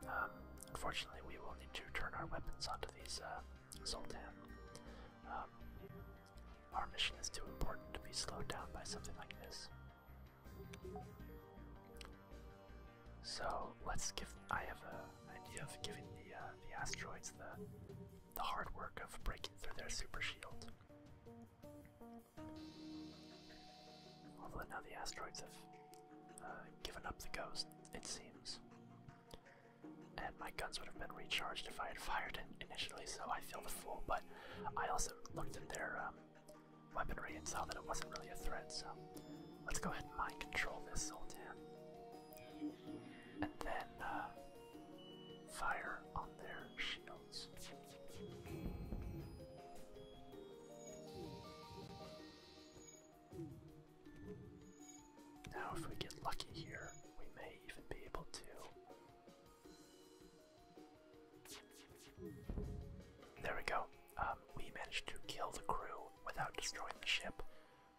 Um, unfortunately, we will need to turn our weapons onto these uh, Zoltan. Um, our mission is too important to be slowed down by something like this. So let's give. I have an idea of giving the uh, the asteroids the the hard work of breaking through their super shield. Although now the asteroids have uh, given up the ghost, it seems. And my guns would have been recharged if I had fired it initially, so I feel the fool. But I also looked at their um, weaponry and saw that it wasn't really a threat, so let's go ahead and mind control this Sultan. And then uh, fire on their shields. Now, if we get lucky here, we may even be able to there we go. Um, we managed to kill the crew without destroying the ship,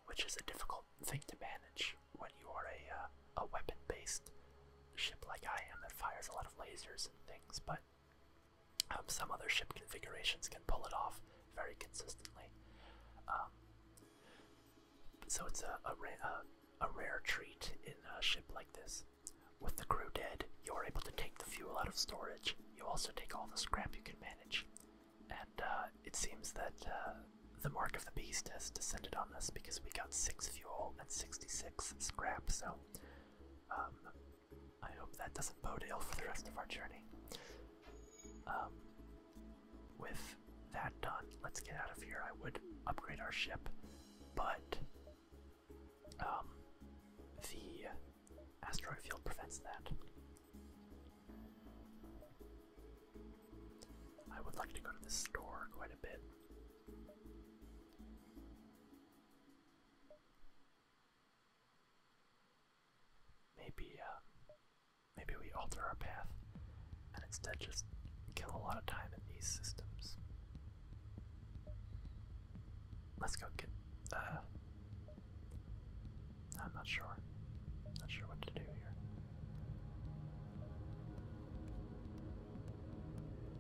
which is a difficult thing to manage when you are a, uh, a weapon based ship like I am that fires a lot of lasers and things, but um, some other ship configurations can pull it off very consistently. Um, so it's a a rare treat in a ship like this. With the crew dead, you are able to take the fuel out of storage. You also take all the scrap you can manage. And uh, it seems that uh, the Mark of the Beast has descended on us because we got 6 fuel and 66 scrap, so um, I hope that doesn't bode ill for the rest of our journey. Um, with that done, let's get out of here. I would upgrade our ship, but um, the asteroid field prevents that. I would like to go to the store quite a bit. Maybe, uh, maybe we alter our path and instead just kill a lot of time in these systems. Let's go get. Uh, I'm not sure. Not sure what to do here.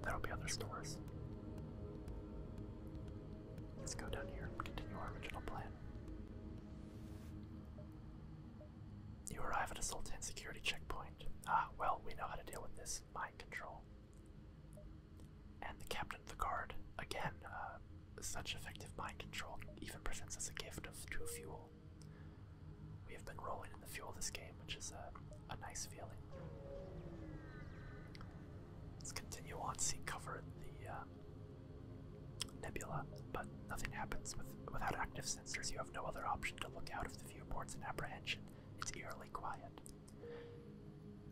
There'll be other stores. Let's go down here and continue our original plan. You arrive at a Sultan security checkpoint. Ah, well, we know how to deal with this mind control. And the captain of the guard, again, uh, such effective mind control even presents us a gift of two fuel. We have been rolling in the fuel this game, which is a, nice feeling. Let's continue on, See, cover in the uh, nebula, but nothing happens with without active sensors. You have no other option to look out of the viewports in apprehension. It's eerily quiet.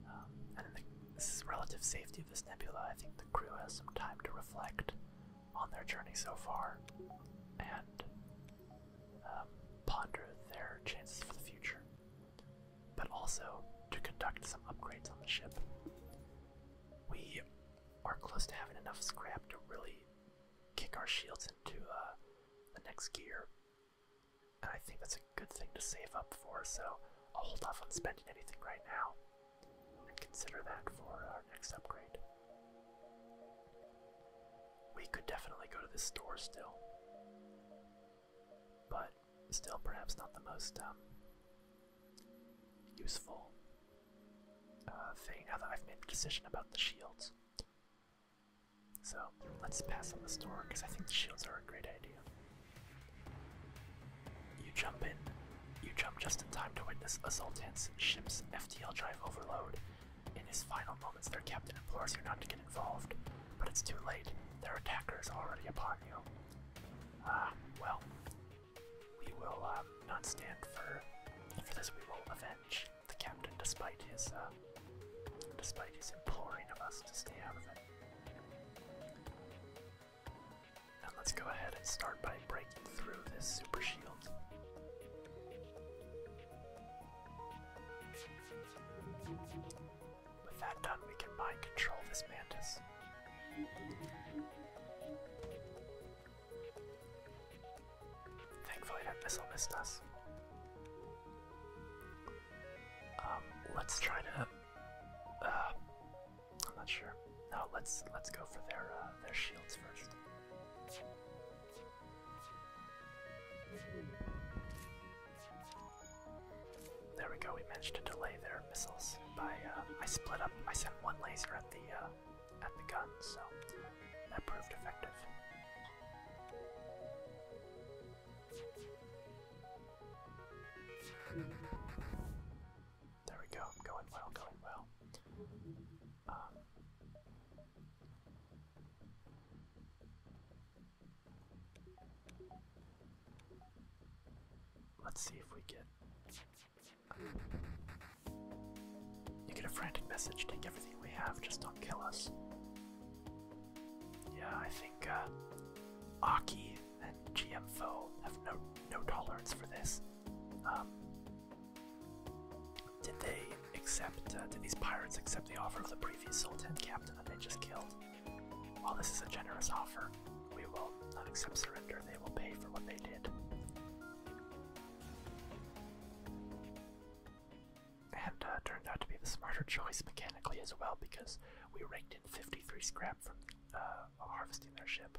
Um, and in the relative safety of this nebula, I think the crew has some time to reflect on their journey so far and um, ponder their chances for the future, but also to conduct some upgrades on the ship. We are close to having enough scrap to really kick our shields into uh, the next gear I think that's a good thing to save up for, so I'll hold off on spending anything right now and consider that for our next upgrade. We could definitely go to the store still, but still perhaps not the most um, useful uh, thing now that I've made a decision about the shields. So let's pass on the store because I think shields are a great idea. You jump in. You jump just in time to witness a Zoltan's ship's FTL drive overload. In his final moments, their captain implores you not to get involved, but it's too late. Their attacker is already upon you. Ah, well, we will um, not stand for. For this, we will avenge the captain, despite his uh, despite his imploring of us to stay out of it. Now let's go ahead and start by breaking through this super shield. With that done, we can mind control this mantis. Thankfully, that missile missed us. Um, let's try to. Uh, I'm not sure. No, let's let's go for their uh, their shields first. There we go. We managed to delay their missiles by. Uh, I split up. I sent one laser at the at the gun, so that proved effective. There we go, going well, going well. Um, let's see if we get. You get a frantic message, take everything we have, just don't kill us. Yeah, I think uh, Aki and GMfo have no no tolerance for this. Um, did they accept? Uh, did these pirates accept the offer of the previous Sultan captain that they just killed? While this is a generous offer, we will not accept surrender. They will pay for what they did and uh, turned out to be the smarter choice mechanically as well because we raked in 53 scrap from uh, harvesting their ship.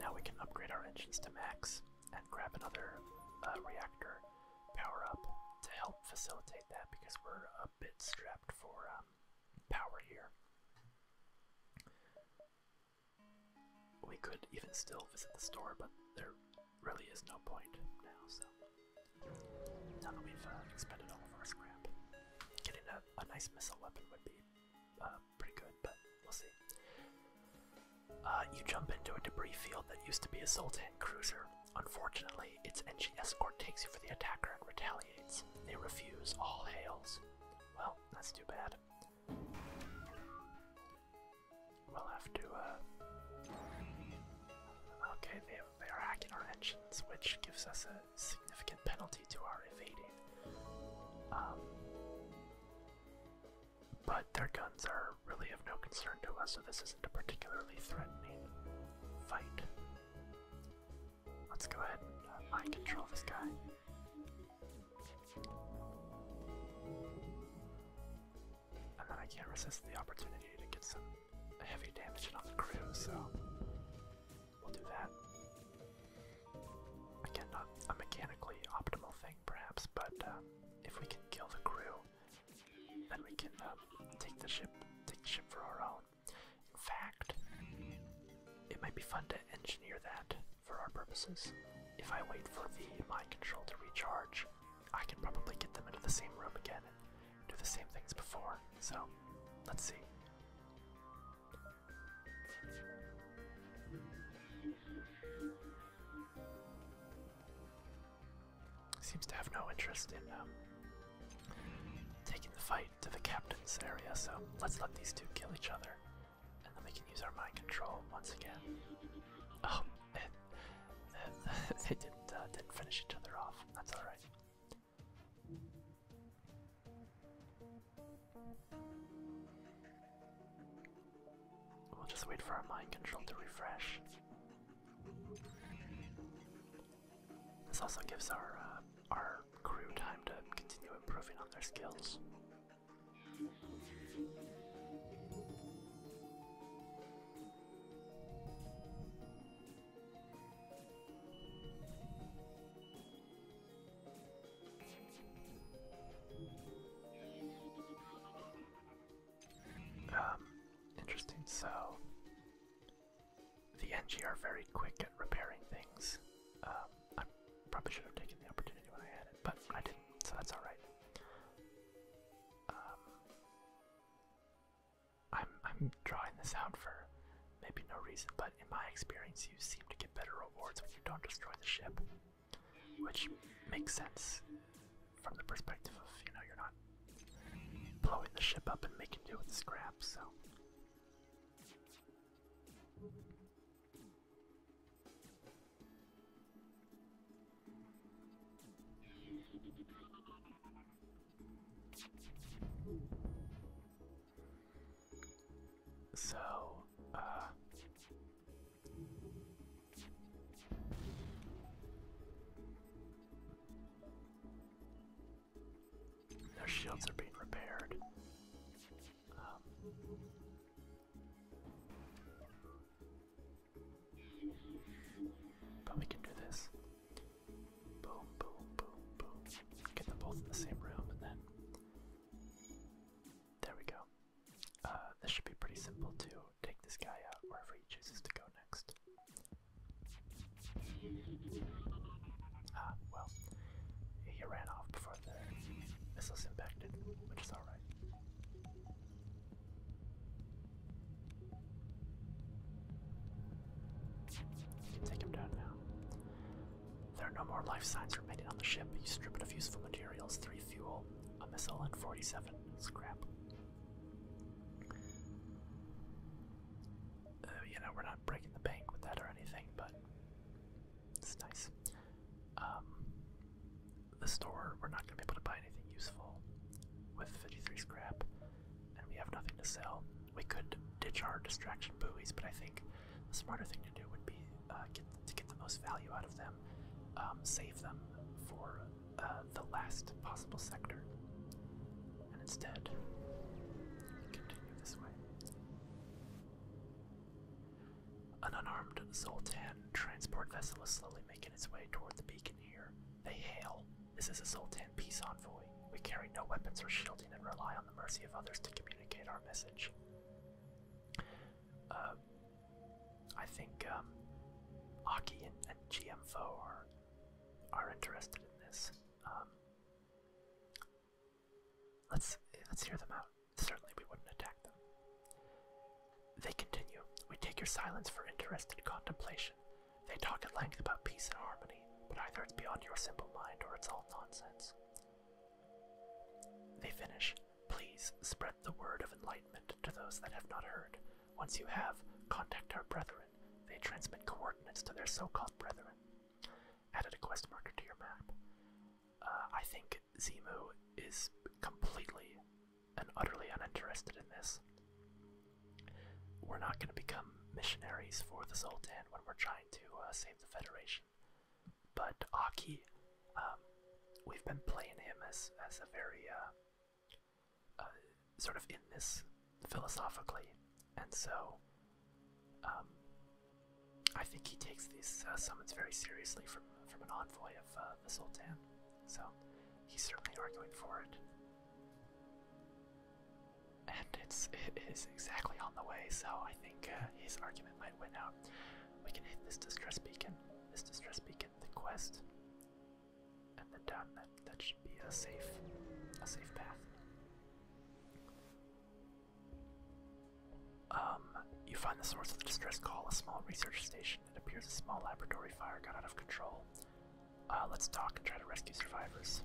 Now we can upgrade our engines to max and grab another uh, reactor power up to help facilitate that because we're a bit strapped for um, power here. We could even still visit the store, but they're really is no point now, so. Now that we've uh, expended all of our scrap, getting a, a nice missile weapon would be uh, pretty good, but we'll see. Uh, you jump into a debris field that used to be a Sultan cruiser. Unfortunately, its engine escort takes you for the attacker and retaliates. They refuse all hails. Well, that's too bad. We'll have to, uh, Okay, they, are hacking our engines, which gives us a significant penalty to our evading. Um, but their guns are really of no concern to us, so this isn't a particularly threatening fight. Let's go ahead and uh, mind control this guy. And then I can't resist the opportunity to get some heavy damage on the crew, so we'll do that. Again, not a mechanically optimal thing, perhaps, but uh, if we can kill the crew, then we can um, take the ship, take the ship for our own. In fact, it might be fun to engineer that for our purposes. If I wait for the mind control to recharge, I can probably get them into the same room again and do the same things before. So, let's see. Seems to have no interest in um, taking the fight to the captain's area, so let's let these two kill each other, and then we can use our mind control once again. Oh, they didn't uh, didn't finish each other off. That's all right. We'll just wait for our mind control to refresh. This also gives our uh, our crew time to continue improving on their skills. Um, interesting, so the NG are very quick at repairing things. Um, I probably should have taken the opportunity when I had it, but I didn't, so that's alright. Um, I'm I'm drawing this out for maybe no reason, but in my experience, you seem to get better rewards if you don't destroy the ship, which makes sense from the perspective of you know you're not blowing the ship up and making do with scrap. So. So, uh, their shields are being repaired. Um, but we can do this. Boom, boom, boom, boom. Get them both in the same room and then. There we go. Uh, this should be pretty simple to take this guy out wherever he chooses to go next. Ah, well. He ran off before the missiles impacted, which is alright. Take him down now. There are no more life signs remaining on the ship. You strip it of useful materials, three fuel, a missile, and 47 scrap. Uh, you know, we're not breaking the bank with that or anything, but it's nice. Um, the store, we're not going to be able to buy anything useful with 53 scrap, and we have nothing to sell. We could ditch our distraction buoys, but I think the smarter thing to do would be uh, to get the most value out of them, um, save them for uh, the last possible sector, and instead continue this way. An unarmed Zoltan transport vessel is slowly making its way toward the beacon here. They hail. This is a Sultan peace envoy. We carry no weapons or shielding and rely on the mercy of others to communicate our message. Um, I think um, Aki and, and GMFO are, are interested in this. Um, let's let's hear them out. Certainly, we wouldn't attack them. They continue. We take your silence for interested contemplation. They talk at length about peace and harmony, but either it's beyond your simple mind or it's all nonsense. They finish, Please spread the word of enlightenment to those that have not heard. Once you have, contact our brethren. They transmit coordinates to their so called brethren. Added a quest marker to your map. Uh, I think Zimu is completely and utterly uninterested in this. We're not going to become missionaries for the Sultan when we're trying to uh, save the Federation. But Aki, um, we've been playing him as, as a very, uh, uh, sort of in this philosophically, and so um, I think he takes these summons very seriously from, from an envoy of the Sultan. So he's certainly arguing for it. And it's exactly on the way, so I think uh, his argument might win out. We can hit this distress beacon, this distress beacon, the quest, and then down that that should be a safe a safe path. Um, you find the source of the distress call, a small research station. It appears a small laboratory fire got out of control. Uh, let's talk and try to rescue survivors.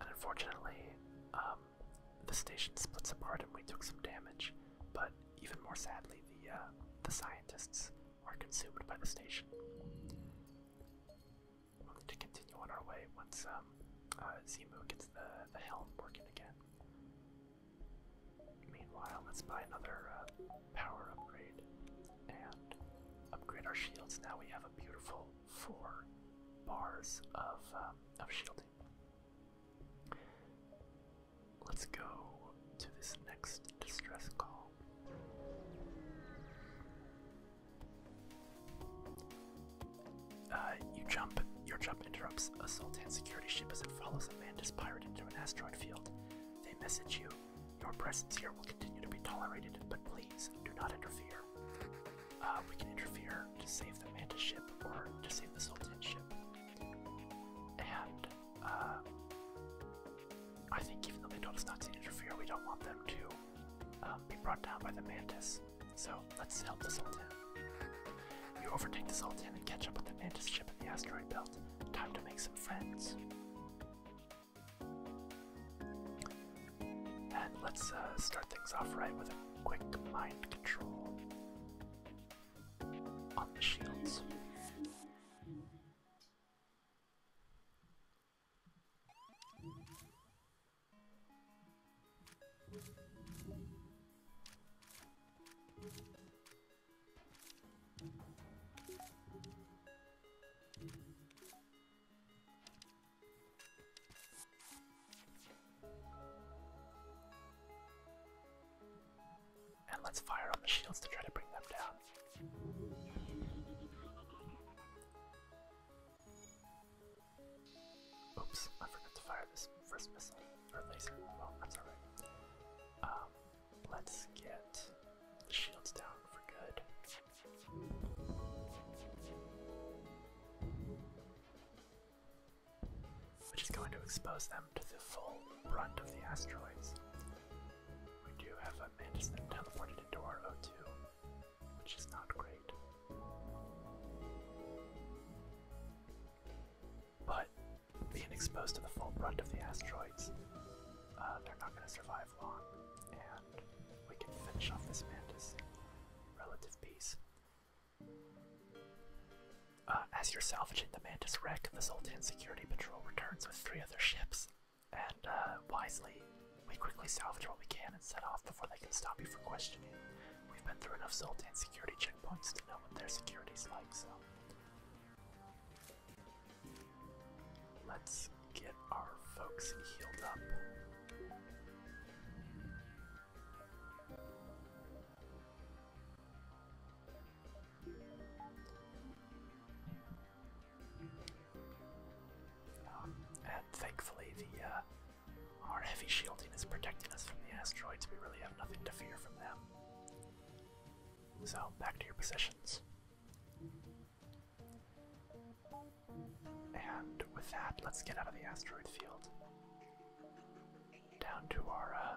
And unfortunately, um, the station splits apart and we took some damage. But even more sadly, the uh, the scientists are consumed by the station. We'll need to continue on our way once um, uh, gets the, the helm working again. Meanwhile, let's buy another power upgrade and upgrade our shields. Now we have a beautiful four bars of um, of shielding. Let's go to this next distress call. Uh, you jump. Your jump interrupts a Sultan security ship as it follows a Mantis pirate into an asteroid field. They message you. Your presence here will continue to be tolerated, but please do not interfere. Uh, we can interfere to save the mantis ship or to save the Sultan ship. And uh, I think even though they told us not to interfere, we don't want them to um, be brought down by the Mantis. So let's help the Sultan. You overtake the Sultan and catch up with the Mantis ship in the asteroid belt. Time to make some friends let's uh, start things off right with a quick mind control on the shields. And let's fire on the shields to try to bring them down. Oops, I forgot to fire this first missile or laser. Oh, Well, that's alright. Um, Let's get the shields down for good. Which is going to expose them to the full brunt of the asteroids. We do have a mantis that teleported into which is not great. But being exposed to the full brunt of the asteroids, uh, they're not going to survive and we can finish off this mantis. Relative peace. Uh, as you're salvaging the mantis wreck, the Zoltan Security Patrol returns with three other ships, and uh, wisely, we quickly salvage what we can and set off before they can stop you for questioning. We've been through enough Zoltan security checkpoints to know what their security's like, so Let's get our folks healed up. Ah, and thankfully, the uh, our heavy shielding is protecting us from the asteroids. We really have nothing to fear from them. So, back to your positions. And with that, let's get out of the asteroid field. Down to our uh,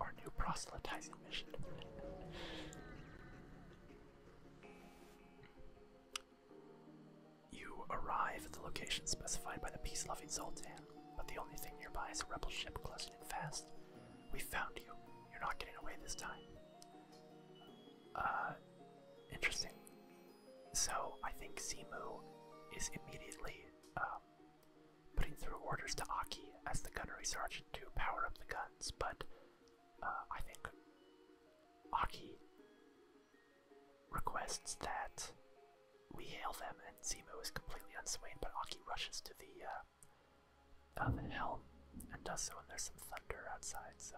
our, new proselytizing mission. you arrive at the location specified by the peace-loving sultan, but the only thing nearby is a rebel ship closing in fast. We found you. You're not getting away this time. Uh, interesting. So I think Simu is immediately um, putting through orders to Aki as the gunnery sergeant to power up the guns, but uh, I think Aki requests that we hail them, and Simu is completely unswayed. but Aki rushes to the uh, of hell and does so when there's some thunder outside, so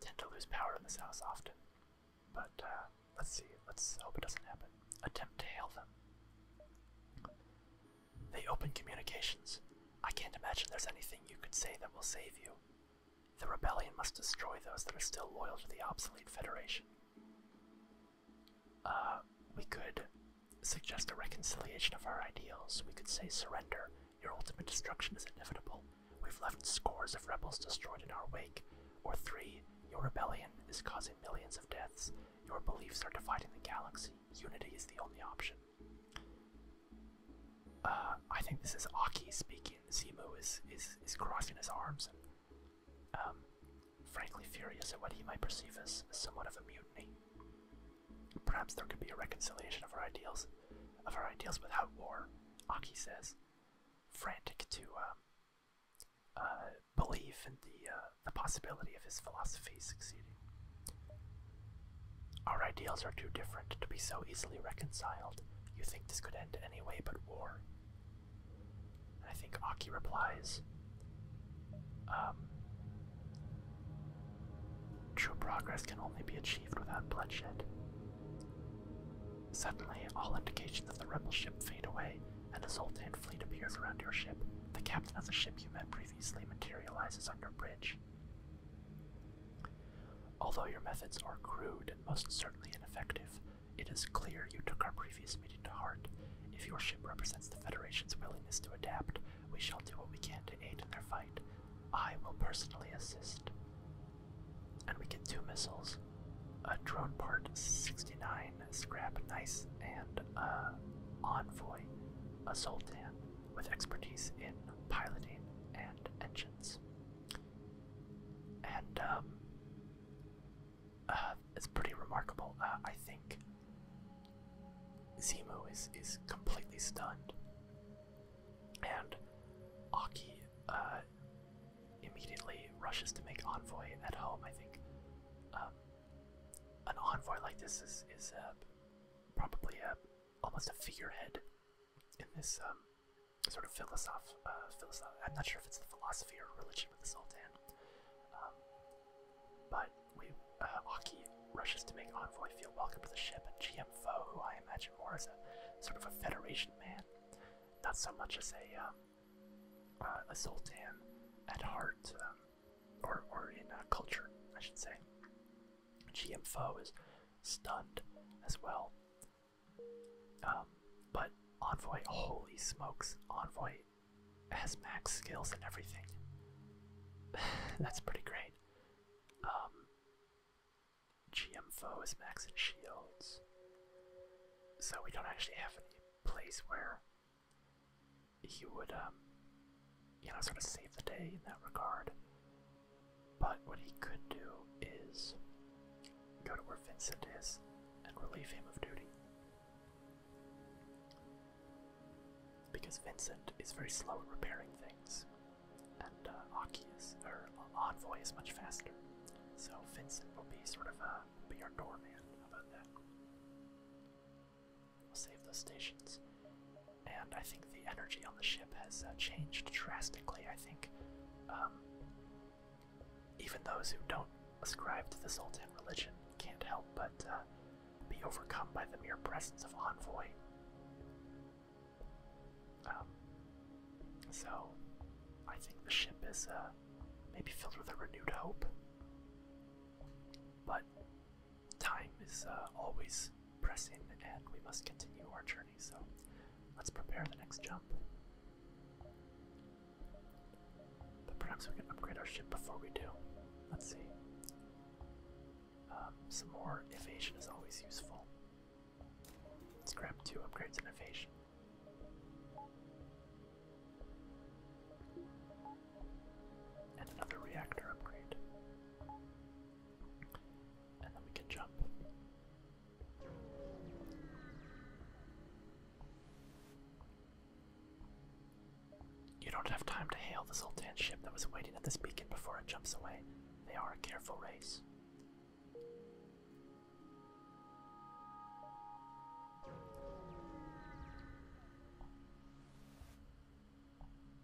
tend to lose power in this house often. But uh, let's see, let's hope it doesn't happen. Attempt to hail them. They open communications. I can't imagine there's anything you could say that will save you. The rebellion must destroy those that are still loyal to the obsolete Federation. Uh, we could suggest a reconciliation of our ideals. We could say surrender, your ultimate destruction is inevitable. We've left scores of rebels destroyed in our wake. Or three, your rebellion is causing millions of deaths. Your beliefs are dividing the galaxy. Unity is the only option. Uh, I think this is Aki speaking. Zimu is, is, is crossing his arms and, um, frankly furious at what he might perceive as somewhat of a mutiny. Perhaps there could be a reconciliation of our ideals, of our ideals without war. Aki says, frantic to um, uh, believe in the uh, the possibility of his philosophy succeeding. Our ideals are too different to be so easily reconciled. You think this could end any way but war. I think Aki replies, um, True progress can only be achieved without bloodshed. Suddenly, all indications of the rebel ship fade away, and a Sultan fleet appears around your ship. The captain of the ship you met previously materializes on your bridge. Although your methods are crude and most certainly ineffective, it is clear you took our previous meeting to heart. If your ship represents the Federation's willingness to adapt, we shall do what we can to aid in their fight. I will personally assist. And we get two missiles a drone part 69, scrap nice, and uh, envoy, a sultan with expertise in piloting and engines. And um, uh, it's pretty remarkable. Uh, I think Zemo is, is completely stunned and Aki uh, immediately rushes to make envoy at home. I think um, an envoy like this is is uh, probably a, uh, almost a figurehead in this um, sort of philosoph, uh, I'm not sure if it's the philosophy or religion of the Sultan, um, but we Aki rushes to make Envoy feel welcome to the ship, and GM Foe, who I imagine more as a sort of a Federation man, not so much as a, uh, uh, a Sultan at heart, um, or, or in culture, I should say. GM Foe is stunned as well. Um, but Envoy, holy smokes, Envoy has max skills and everything. That's pretty great. Um, GM foe is max and shields. So we don't actually have any place where he would, um, you know, sort of save the day in that regard. But what he could do is go to where Vincent is and relieve him of duty. Because Vincent is very slow at repairing things, and uh, Aki uh, Envoy is much faster. So Vincent will be sort of a, uh, be our doorman. about that? We'll save those stations. And I think the energy on the ship has uh, changed drastically. I think um, even those who don't ascribe to the Sultan religion can't help but be overcome by the mere presence of Envoy. Um, so, I think the ship is uh, maybe filled with a renewed hope. But time is uh, always pressing, and we must continue our journey. So, let's prepare the next jump. But perhaps we can upgrade our ship before we do. Let's see. Um, some more evasion is always useful. Let's grab two upgrades in evasion. And another reactor upgrade. And then we can jump. You don't have time to hail this old Sultan ship that was waiting at this beacon before it jumps away. They are a careful race.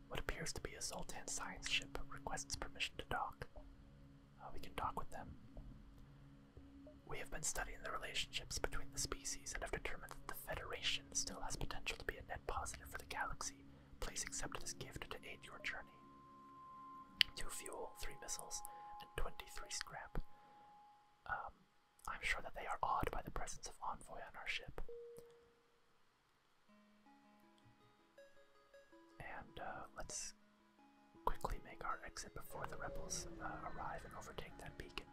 What appears to be a Zoltan science ship requests permission to dock. Uh, we can talk with them. We have been studying the relationships between the species and have determined that the Federation still has potential to be a net positive for the galaxy Please accept this gift to aid your journey. Two fuel, three missiles, and twenty-three scrap. Um, I'm sure that they are awed by the presence of Envoy on our ship. And uh, let's quickly make our exit before the rebels uh, arrive and overtake that beacon.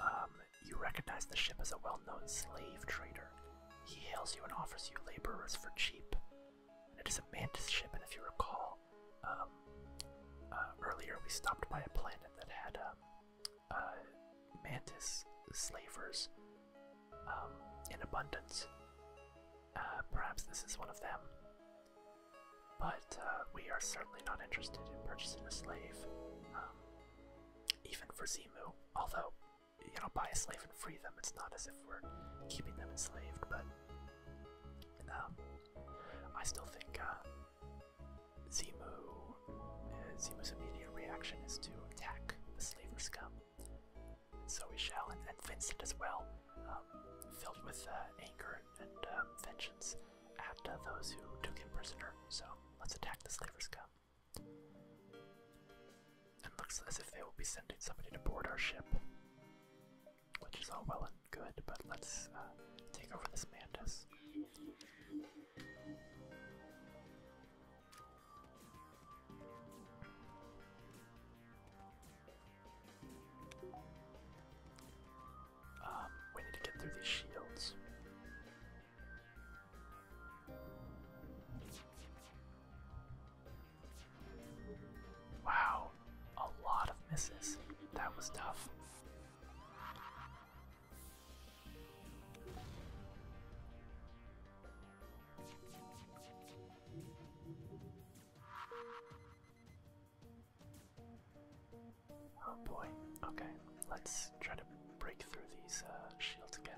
Um, you recognize the ship as a well known slave trader. He hails you and offers you laborers for cheap. it is a mantis ship, and if you recall, um, uh, earlier we stopped by a planet that had um, uh, mantis slavers in abundance. Uh, perhaps this is one of them. But we are certainly not interested in purchasing a slave even for Zimu, Although, you know, buy a slave and free them, it's not as if we're keeping them enslaved, but um, I still think uh, Zemu, uh, immediate reaction is to attack the slaver's scum. So we shall, and, Vincent as well, um, filled with uh, anger and um, vengeance at uh, those who took him prisoner. So let's attack the slaver's scum. It looks as if they will be sending somebody to board our ship, which is all well and good, but let's uh, take over this mantis. Um, we need to get through these shields. Wow, a lot of misses. That was tough. Oh boy, okay, let's try to break through these uh, shields again.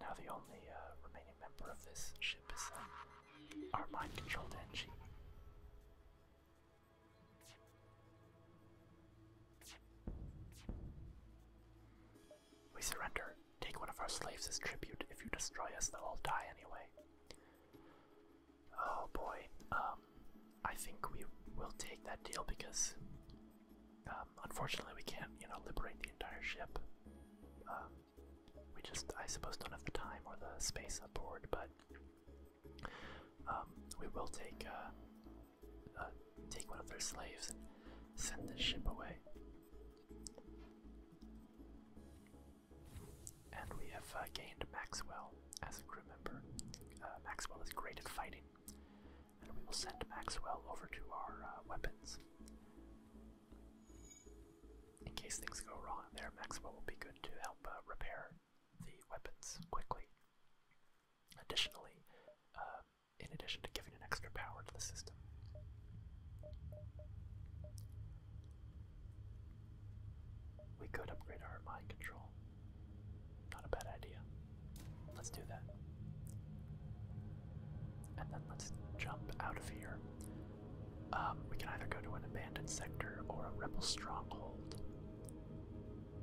Now the only uh, remaining member of this ship is uh, our mind-controlled engine. We surrender. Take one of our slaves as tribute. If you destroy us, they'll all die anyway. Oh boy. Um, I think we will take that deal because, um, unfortunately, we can't, you know, liberate the entire ship. Um, we just, I suppose, don't have the time or the space aboard, but um, we will take uh, uh, take one of their slaves and send this ship away. And we have uh, gained Maxwell as a crew member. Maxwell is great at fighting, and we will send Maxwell over to our weapons. In case things go wrong there, Maxwell will be good to help repair the weapons quickly. Additionally, um, in addition to giving an extra power to the system. We could upgrade our mind control. Not a bad idea. Let's do that. And then let's jump out of here. Um, we can either go to an abandoned sector or a rebel stronghold.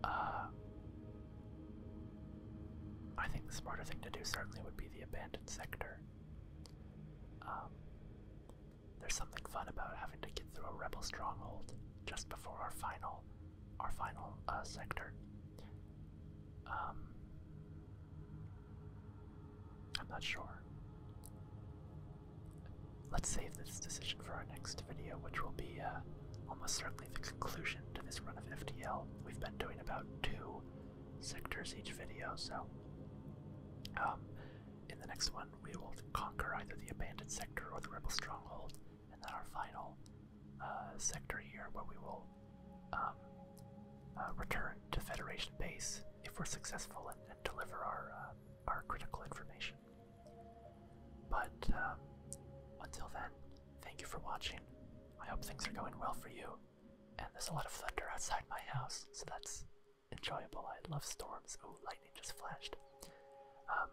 Uh, I think the smarter thing to do certainly would be the abandoned sector. Um, there's something fun about having to get through a rebel stronghold just before our final, our final uh, sector. Um, I'm not sure. Let's save this decision for our next video, which will be uh, almost certainly the conclusion to this run of FDL. We've been doing about two sectors each video, so um, in the next one we will conquer either the abandoned sector or the rebel stronghold, and then our final uh, sector here, where we will um, uh, return to Federation base if we're successful and, deliver our our critical information. But uh, until then, thank you for watching. I hope things are going well for you. And there's a lot of thunder outside my house, so that's enjoyable. I love storms. Oh, lightning just flashed. Um,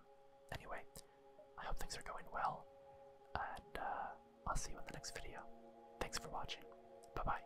anyway, I hope things are going well, and uh, I'll see you in the next video. Thanks for watching. Bye bye.